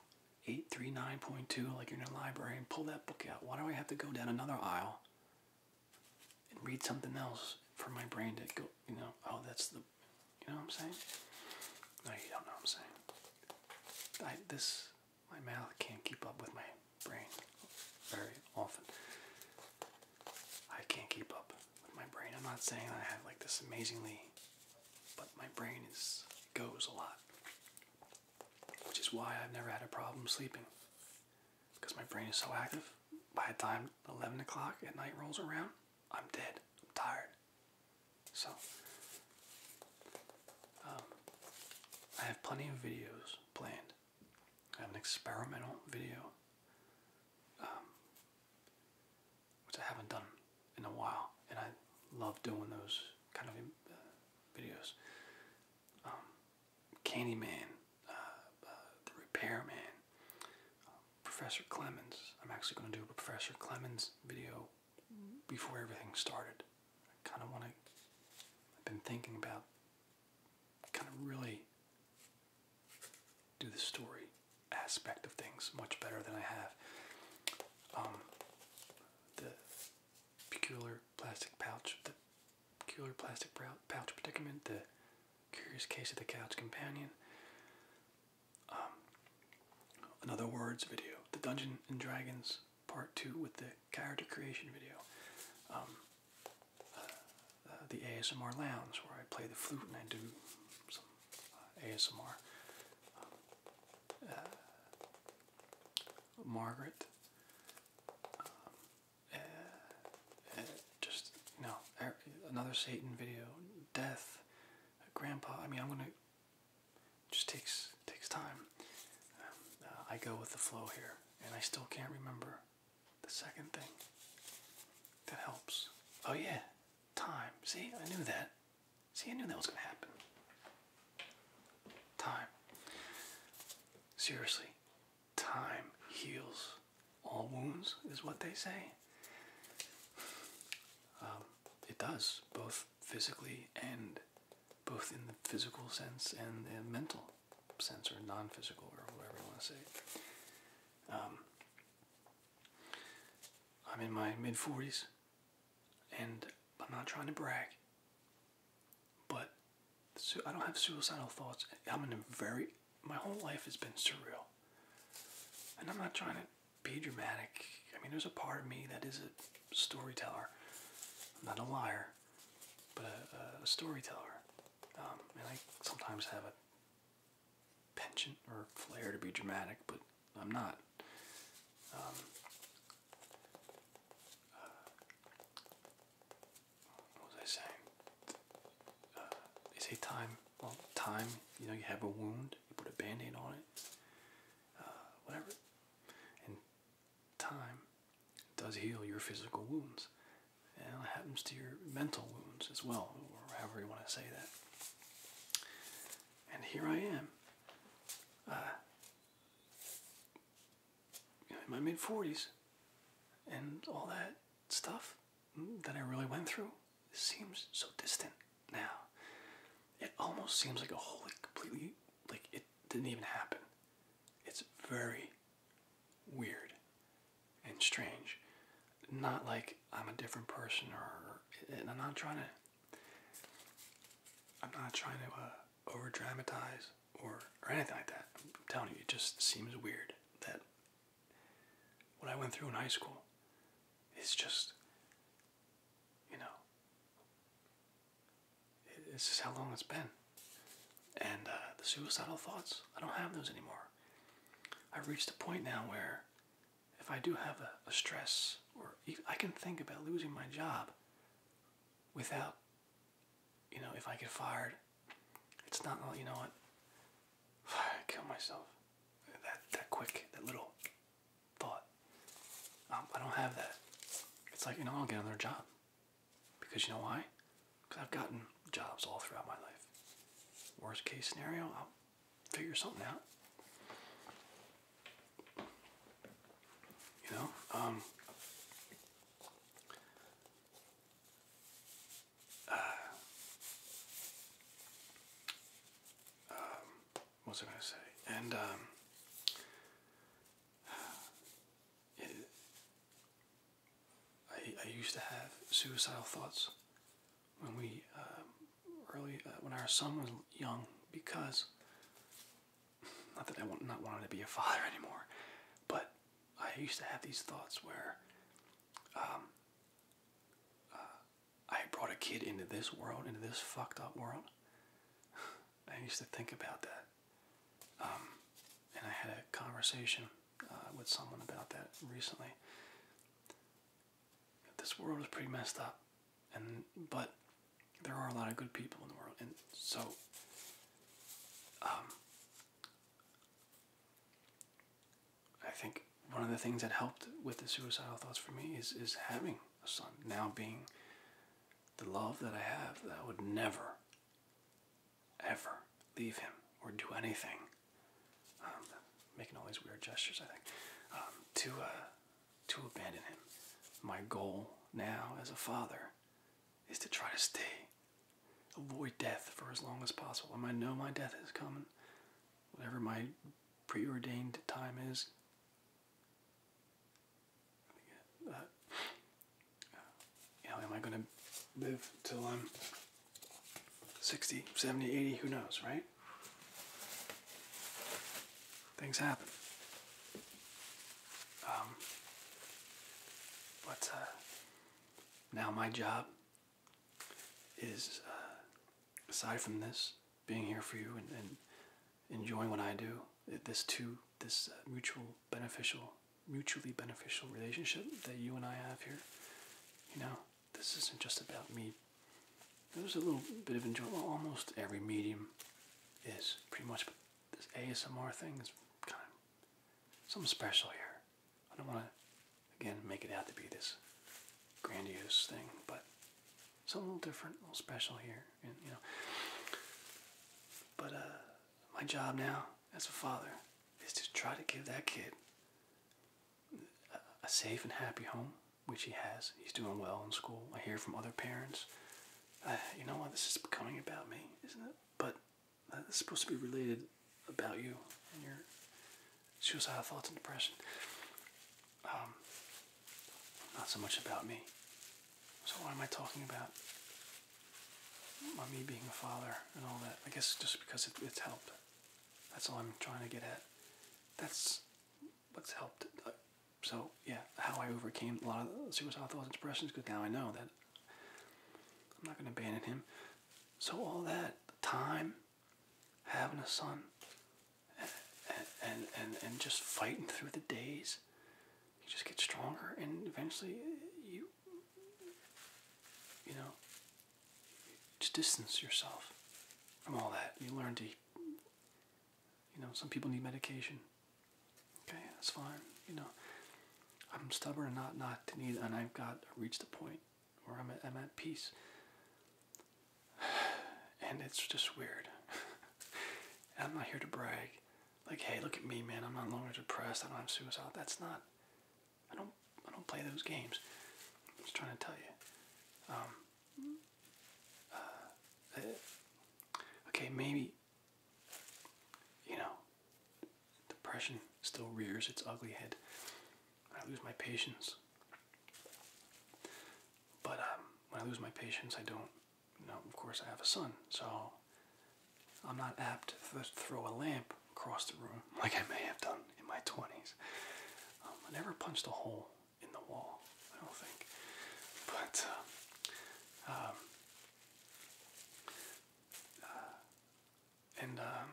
839.2, like you're in a library, and pull that book out. Why do I have to go down another aisle and read something else for my brain to go, you know, oh, that's the, you know what I'm saying? No, you don't know what I'm saying. I, this, my mouth can't keep up with my brain very often. I can't keep up with my brain. I'm not saying I have like this amazingly, but my brain is goes a lot. Which is why I've never had a problem sleeping. Because my brain is so active, by the time 11 o'clock at night rolls around, I'm dead. I'm tired. So, um, I have plenty of videos planned. I have an experimental video, um, which I haven't done in a while, and I love doing those kind of uh, videos. Um, Candyman, uh, uh, The Repairman, um, Professor Clemens. I'm actually going to do a Professor Clemens video before everything started. I kind of want to, I've been thinking about kind of really do the story aspect of things much better than I have. Um, the peculiar plastic pouch, the peculiar plastic pouch predicament, the curious case of the couch companion. another um, words video, the Dungeon and Dragons part two with the character creation video. Um, uh, uh, the ASMR Lounge, where I play the flute and I do some uh, ASMR. Uh, Margaret. Um, uh, uh, just you er, another Satan video, death, Grandpa. I mean, I'm gonna. Just takes takes time. Um, I go with the flow here, and I still can't remember the second thing that helps. Oh yeah, time. See, I knew that. See, I knew that was going to happen. Time. Seriously, time heals all wounds, is what they say. Um, it does, both physically and both in the physical sense and the mental sense, or non physical, or whatever you want to say. Um, I'm in my mid 40s and I'm not trying to brag, but I don't have suicidal thoughts. I'm in a very my whole life has been surreal, and I'm not trying to be dramatic. I mean, there's a part of me that is a storyteller. not a liar, but a, storyteller, um, and I sometimes have a penchant or flair to be dramatic, but I'm not. Um, uh, what was I saying? Uh, they say time. Well, time. You know, you have a wound. You put a band-aid on it. Uh, whatever. And time does heal your physical wounds. And it happens to your mental wounds as well, or however you want to say that. And here I am in my mid 40s and all that stuff that I really went through seems so distant now. It almost seems like a whole like, completely like it didn't even happen. It's very weird and strange. Not like I'm a different person or I'm not trying to I'm not trying to uh, over dramatize or, or anything like that. I'm telling you, it just seems weird that what I went through in high school is just, you know, it's just how long it's been. And uh, the suicidal thoughts, I don't have those anymore. I've reached a point now where if I do have a, stress, or I can think about losing my job without, you know, if I get fired, it's not, all. Oh, you know what, [SIGHS] I kill myself. That, that quick, that little thought. Um, I don't have that. It's like, you know, I'll get another job. Because you know why? Because I've gotten jobs all throughout my life. Worst case scenario, I'll figure something out. You know, um, uh, um, what was I going to say? And um, [SIGHS] I, used to have suicidal thoughts when we early uh, when our son was young because not that I want not wanting to be a father [LAUGHS] anymore, but I used to have these thoughts where um, uh, I brought a kid into this world, into this fucked up world. [SIGHS] I used to think about that. Um, and I had a conversation uh, with someone about that recently. This world is pretty messed up and but there are a lot of good people in the world, and so um, I think one of the things that helped with the suicidal thoughts for me is is having a son now being the love that I have that I would never ever leave him or do anything um, making all these weird gestures I think um, to uh, to abandon him. My goal now as a father is to try to stay, avoid death for as long as possible. I might know my death is coming, whatever my preordained time is. Uh, am I going to live till I'm 60, 70, 80? Who knows, right? things happen. Um, but uh, now my job is, uh, aside from this, being here for you and, enjoying what I do, this too, this uh, mutual beneficial, mutually beneficial relationship that you and I have here, you know, this isn't just about me there's a little bit of enjoyment. almost every medium is pretty much but this ASMR thing is kind of something special here. I don't want to, again, make it out to be this grandiose thing, but it's a little different, a little special here, and you know. But uh, my job now as a father is to try to give that kid a safe and happy home which he has. He's doing well in school. I hear from other parents. Uh, you know what? This is becoming about me, isn't it? But uh, it's supposed to be related about you and your suicidal thoughts and depression. Um, not so much about me. So what am I talking about My me being a father and all that? I guess just because it's helped. That's all I'm trying to get at. That's what's helped. Uh, so yeah, how I overcame a lot of suicidal thoughts and expressions. Because now I know that I'm not going to abandon him. So all that time, having a son, and and and, and just fighting through the days, you just get stronger, and eventually you you know just distance yourself from all that. You learn to you know, some people need medication. Okay, that's fine. You know, I'm stubborn and not not to need, and I've got reached a point where I'm at, I'm at peace. [SIGHS] And it's just weird. [LAUGHS] I'm not here to brag. Like, hey, look at me, man. I'm not longer depressed. I don't have suicide. That's not. I don't. I don't play those games. I'm just trying to tell you. Um, uh, okay, maybe, you know, depression still rears its ugly head. I lose my patience. But um, when I lose my patience, I don't, you of course, I have a son, so I'm not apt to throw a lamp across the room [LAUGHS] like I may have done in my 20s. Um, I never punched a hole in the wall, I don't think. But uh, um, uh, and um,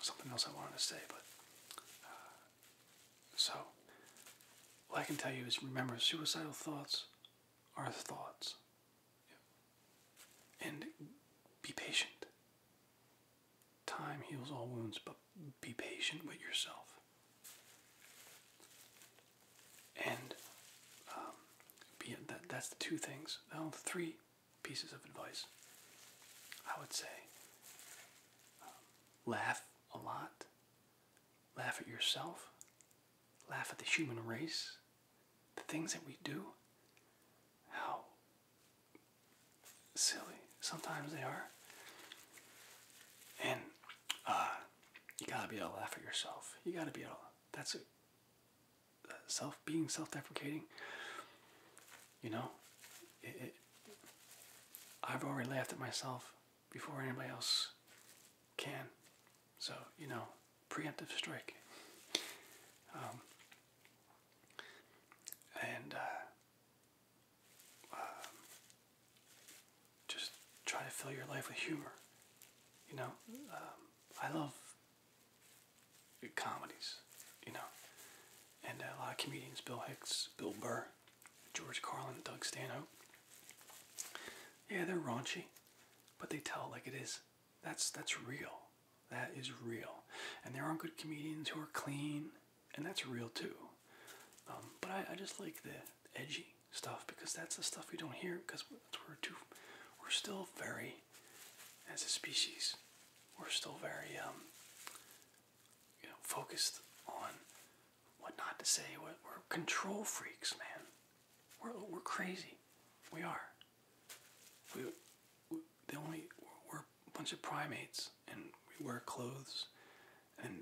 something else I wanted to say, but uh, so all I can tell you is remember suicidal thoughts are thoughts, and be patient. Time heals all wounds, but be patient with yourself. And um, be that that's the two things. Well, three pieces of advice. I would say um, laugh a lot, laugh at yourself, laugh at the human race, the things that we do, how silly. Sometimes they are. And uh, you gotta be able to laugh at yourself. You gotta be able. that's uh, self being self-deprecating. You know, I've already laughed at myself before anybody else can. So you know, preemptive strike. Um, and uh, um, just try to fill your life with humor. You know, um, I love comedies. You know, and a lot of comedians: Bill Hicks, Bill Burr, George Carlin, Doug Stanhope. Yeah, they're raunchy, but they tell like it is. That's that's real. That is real. And there are not good comedians who are clean and that's real too. Um, but I, just like the edgy stuff because that's the stuff we don't hear because we're too, we're still very, as a species, we're still very, um, you know, focused on what not to say. We're, we're control freaks, man. We're we're crazy. We are. we the only we're a bunch of primates and we wear clothes and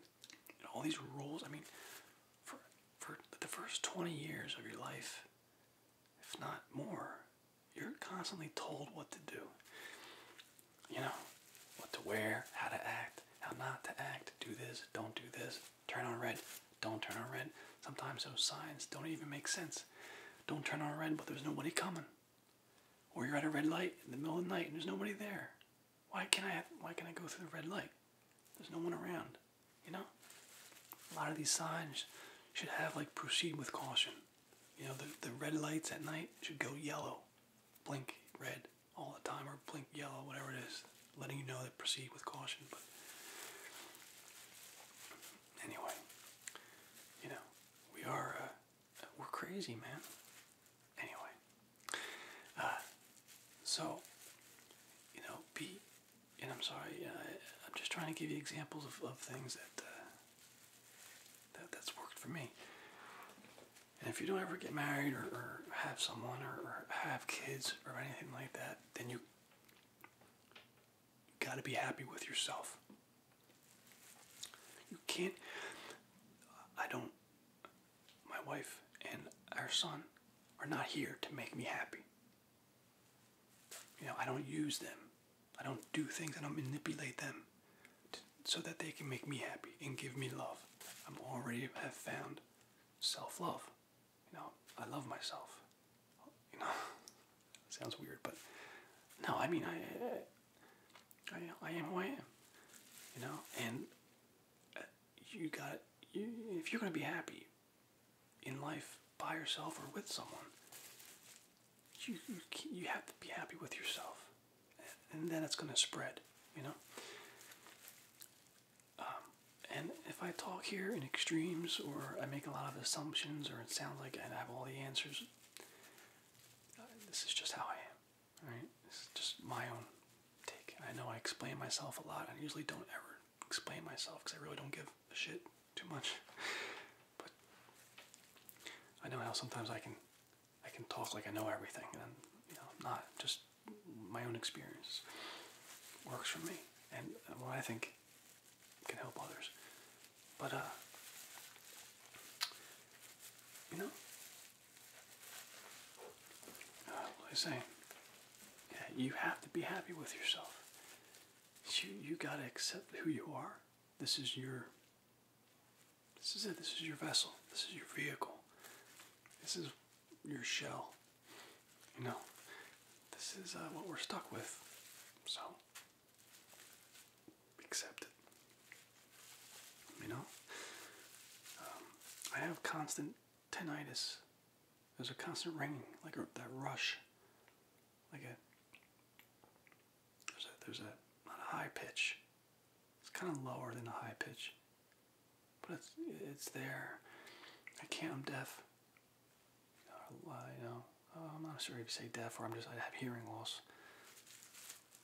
all these rules. I mean, for for the first 20 years of your life, if not more, you're constantly told what to do. You know, what to wear, how to act, how not to act, do this, don't do this, turn on red, don't turn on red. Sometimes those signs don't even make sense. Don't turn on red, but there's nobody coming. Or you're at a red light in the middle of the night and there's nobody there. Why can I? why can I go through the red light? There's no one around. You know, a lot of these signs should have like proceed with caution. You know, the the red lights at night should go yellow, blink red all the time, or blink yellow, whatever it is, letting you know that proceed with caution. But anyway, you know, we are. Uh, we're crazy, man. Anyway, uh, so you know, be and I'm sorry, uh, I'm just trying to give you examples of, things that, uh, that that's worked for me. And if you don't ever get married or, have someone or have kids or anything like that, then you got to be happy with yourself. You can't. I don't my wife and our son are not here to make me happy. You know, I don't use them. I don't do things. I don't manipulate them so that they can make me happy and give me love. I'm already have found self-love. You know, I love myself. You know, [LAUGHS] sounds weird, but no, I mean, I, I, I am who I am. You know, and uh, you got you, if you're gonna be happy in life by yourself or with someone, you you, you have to be happy with yourself, and then it's gonna spread. You know. Um, and if I talk here in extremes or I make a lot of assumptions or it sounds like I have all the answers, uh, this is just how I am. Alright, this is just my own take. I know I explain myself a lot. I usually don't ever explain myself because I really don't give a shit too much. But I know how sometimes I can I can talk like I know everything and you know, I'm not just my own experience works for me and uh, what I think can help others. But uh you know, uh, was I saying? Yeah, you have to be happy with yourself. You you gotta accept who you are. This is your. This is it. This is your vessel. This is your vehicle. This is your shell. You know, this is uh, what we're stuck with. So, accept it. You know, um, I have constant tinnitus. There's a constant ringing, like that rush, like a there's a there's a high pitch. It's kind of lower than a high pitch, but it's it's there. I can't. I'm deaf. you know, I'm not sure if you say deaf or I'm just I have hearing loss.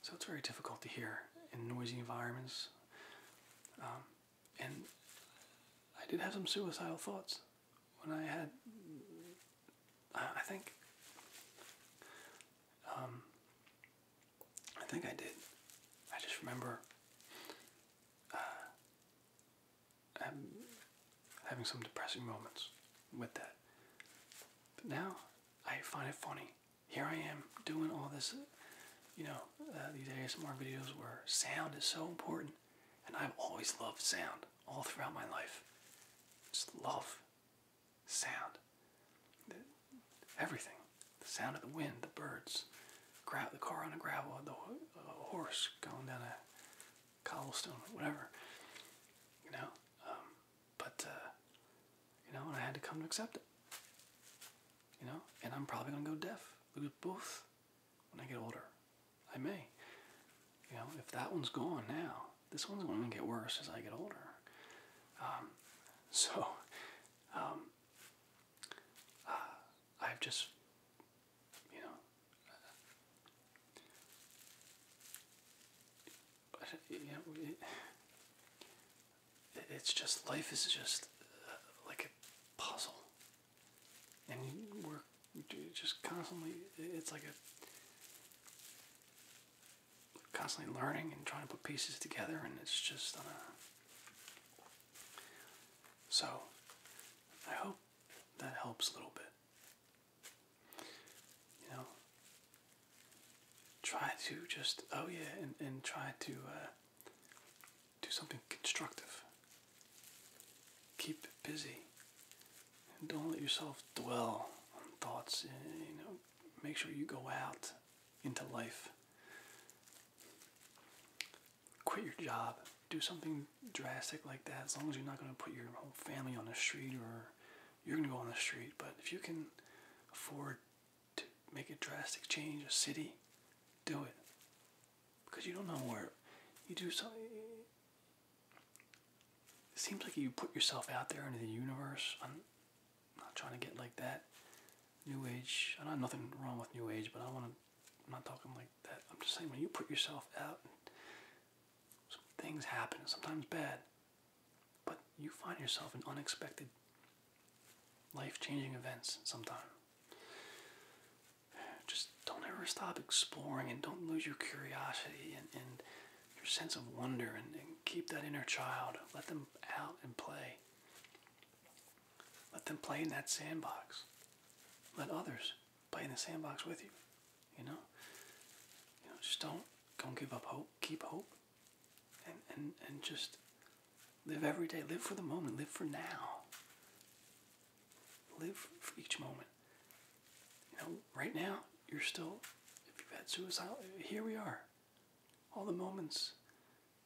So it's very difficult to hear in noisy environments. Um, and I did have some suicidal thoughts when I had, I think, um, I think I did. I just remember uh, um, having some depressing moments with that. But now I find it funny here I am doing all this, you know, uh, these ASMR videos where sound is so important, and I've always loved sound all throughout my life. Just love sound, everything, the sound of the wind, the birds, the car on the gravel, the horse going down a cobblestone, whatever. You know, um, but uh, you know, I had to come to accept it. You know, and I'm probably gonna go deaf, lose both when I get older. I may. You know, if that one's gone now, this one's gonna get worse as I get older. Um, so, um, uh, I've just, you know, you know, it's just life is just uh, like a puzzle, and we're just constantly. It's like a constantly learning and trying to put pieces together, and it's just uh, So, I hope that helps a little bit. You know, try to just oh yeah and, and try to uh, do something constructive keep busy and don't let yourself dwell on thoughts eh, you know make sure you go out into life quit your job do something drastic like that as long as you're not going to put your whole family on the street or you're going to go on the street but if you can afford to make a drastic change, a city, do it. Because you don't know where you do something. It seems like you put yourself out there into the universe. I'm not trying to get like that. New Age. I know nothing wrong with New Age, but I want to. I'm not talking like that. I'm just saying when you put yourself out, things happen. Sometimes bad. But you find yourself in unexpected life changing events sometime. Just don't ever stop exploring and don't lose your curiosity and, your sense of wonder and, and keep that inner child. Let them out and play. Let them play in that sandbox. Let others play in the sandbox with you. You know? You know, just don't don't give up hope. Keep hope and, and, and just live every day. Live for the moment. Live for now. Live for each moment. You know, right now, you're still, if you've had suicidal, here we are. All the moments,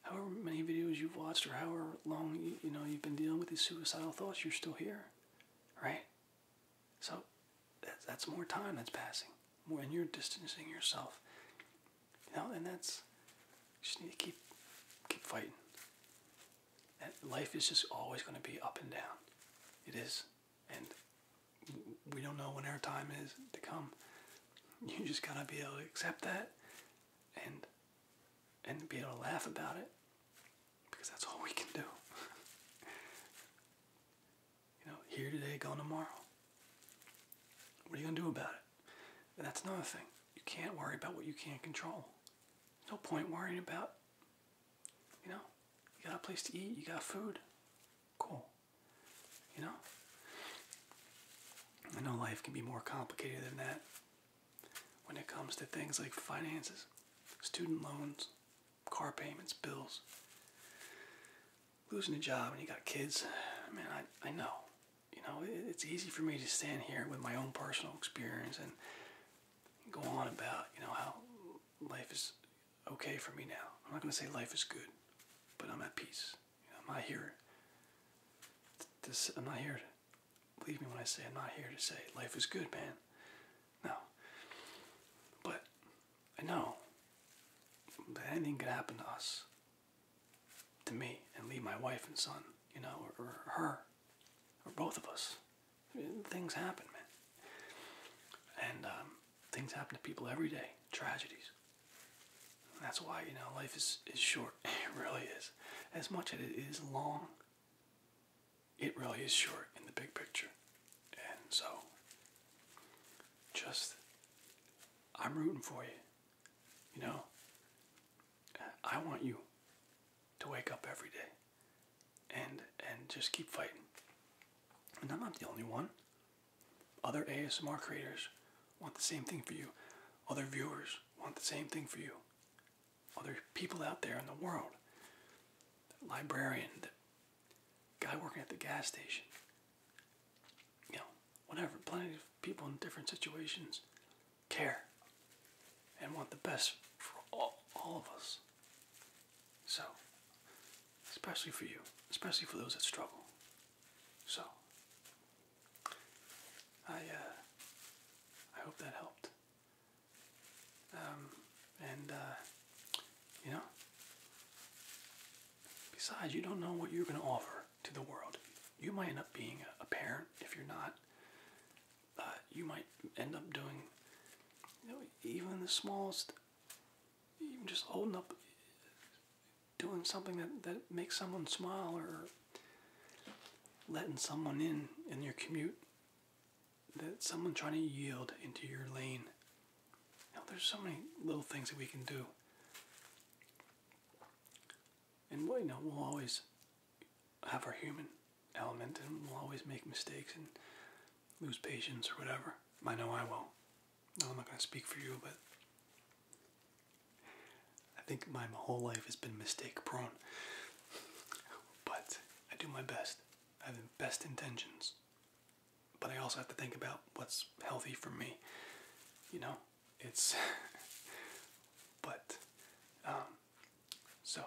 however many videos you've watched or however long, you, know, you've been dealing with these suicidal thoughts, you're still here, right? So that's more time that's passing. when you're distancing yourself you know, and that's just need to keep keep fighting. life is just always going to be up and down. It is, and we don't know when our time is to come. You just gotta be able to accept that, and and be able to laugh about it, because that's all we can do. You know, here today, gone tomorrow. What are you going to do about it? And that's another thing. You can't worry about what you can't control. no point worrying about, you know, you got a place to eat, you got food. Cool. You know? I know life can be more complicated than that when it comes to things like finances, student loans, car payments, bills losing a job and you got kids, man, I, I know. You know, it's easy for me to stand here with my own personal experience and go on about, you know, how life is okay for me now. I'm not going to say life is good, but I'm at peace. I'm not here. This, I'm not here. To, believe me when I say I'm not here to say life is good, man. No. But I know that anything could happen to us, to me, and leave my wife and son, you know, or, her, or both of us. Things happen, man. And um, things happen to people every day, tragedies. that's why, you know, life is, is short. [LAUGHS] It really is. As much as it is long, it really is short in the big picture. And so, just I'm rooting for you. You know, I want you to wake up every day and and just keep fighting. And I'm not the only one. Other ASMR creators want the same thing for you. Other viewers want the same thing for you. Other people out there in the world, librarian that guy working at the gas station. You know, whatever. Plenty of people in different situations care and want the best for all, all of us. So, especially for you, especially for those that struggle. So, I, uh, I hope that helped. Um, and, uh, you know, Besides, you don't know what you're going to offer to the world. You might end up being a parent if you're not. Uh, you might end up doing, you know, even the smallest, even just holding up, doing something that, that makes someone smile or letting someone in in your commute. That someone trying to yield into your lane now, there's so many little things that we can do. And well, you know, we'll always have our human element and we'll always make mistakes and lose patience or whatever. I know I will. No, I'm not going to speak for you, but I think my whole life has been mistake prone. But I do my best. I have the best intentions but I also have to think about what's healthy for me. You know, it's. [LAUGHS] but, um, so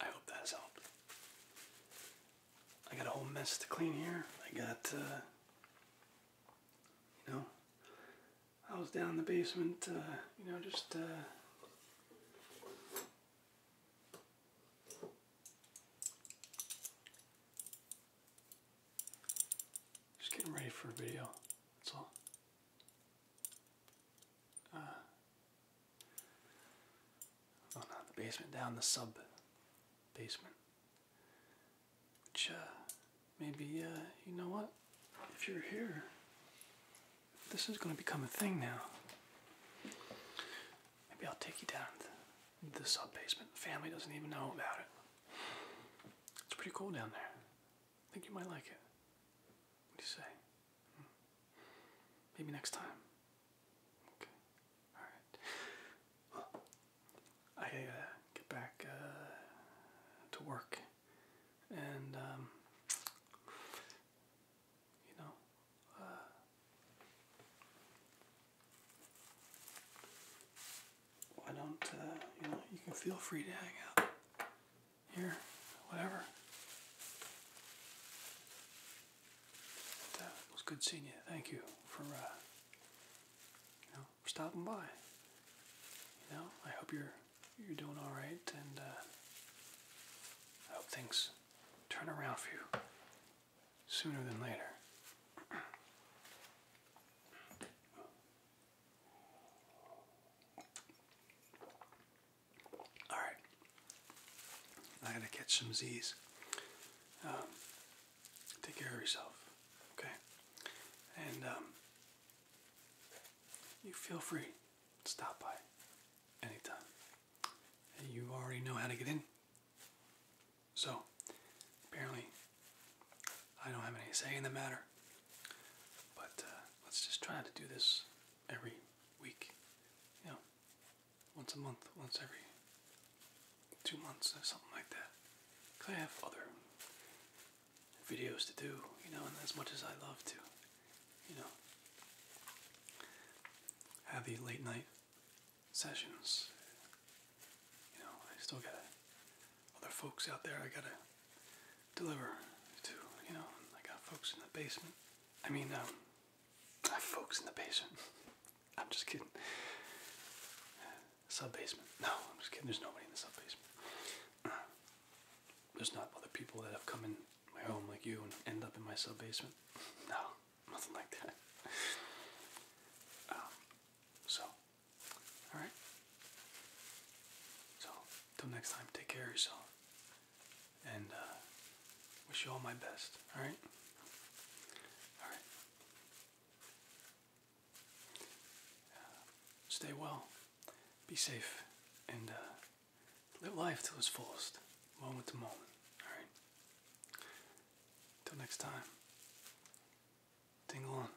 I hope that has helped. I got a whole mess to clean here. I got, uh, you know, I was down in the basement, uh, you know, just, uh, just getting ready for a video. That's all. Uh, oh, not the basement, down the sub basement. Which, uh, maybe, uh, you know what? If you're here, this is going to become a thing now. Maybe I'll take you down the sub basement. The family doesn't even know about it. It's pretty cool down there. I think you might like it. What do you say? Hmm. Maybe next time. Okay. All right. I uh, get back uh, to work, and um, you know, uh, why don't uh, you know? You can feel free to hang out here, whatever. Uh, it was good seeing you. Thank you for uh, you know stopping by. You know, I hope you're you're doing all right, and I hope things turn around for you sooner than later. All right, I gotta catch some Z's. Um, take care of yourself, okay? And um, you feel free to stop by anytime. you already know how to get in. So, apparently, I don't have any say in the matter. But uh, let's just try to do this every week. You know, once a month, once every two months, or something like that. Because I have other videos to do, you know, and as much as I love to, you know, have the late night sessions. You know, I still got other folks out there I gotta deliver to. You know, I got folks in the basement. I mean, um, I folks in the basement. [LAUGHS] I'm just kidding. Sub basement. No, I'm just kidding. There's nobody in the sub basement. There's not other people that have come in my home like you and end up in my sub basement. [LAUGHS] No, nothing like that. Um, so Alright? So, until next time, take care of yourself. And uh, wish you all my best. Alright? Alright. Uh, stay well, be safe, and uh, live life till its fullest, moment to moment. Alright? Until next time. Ding dong.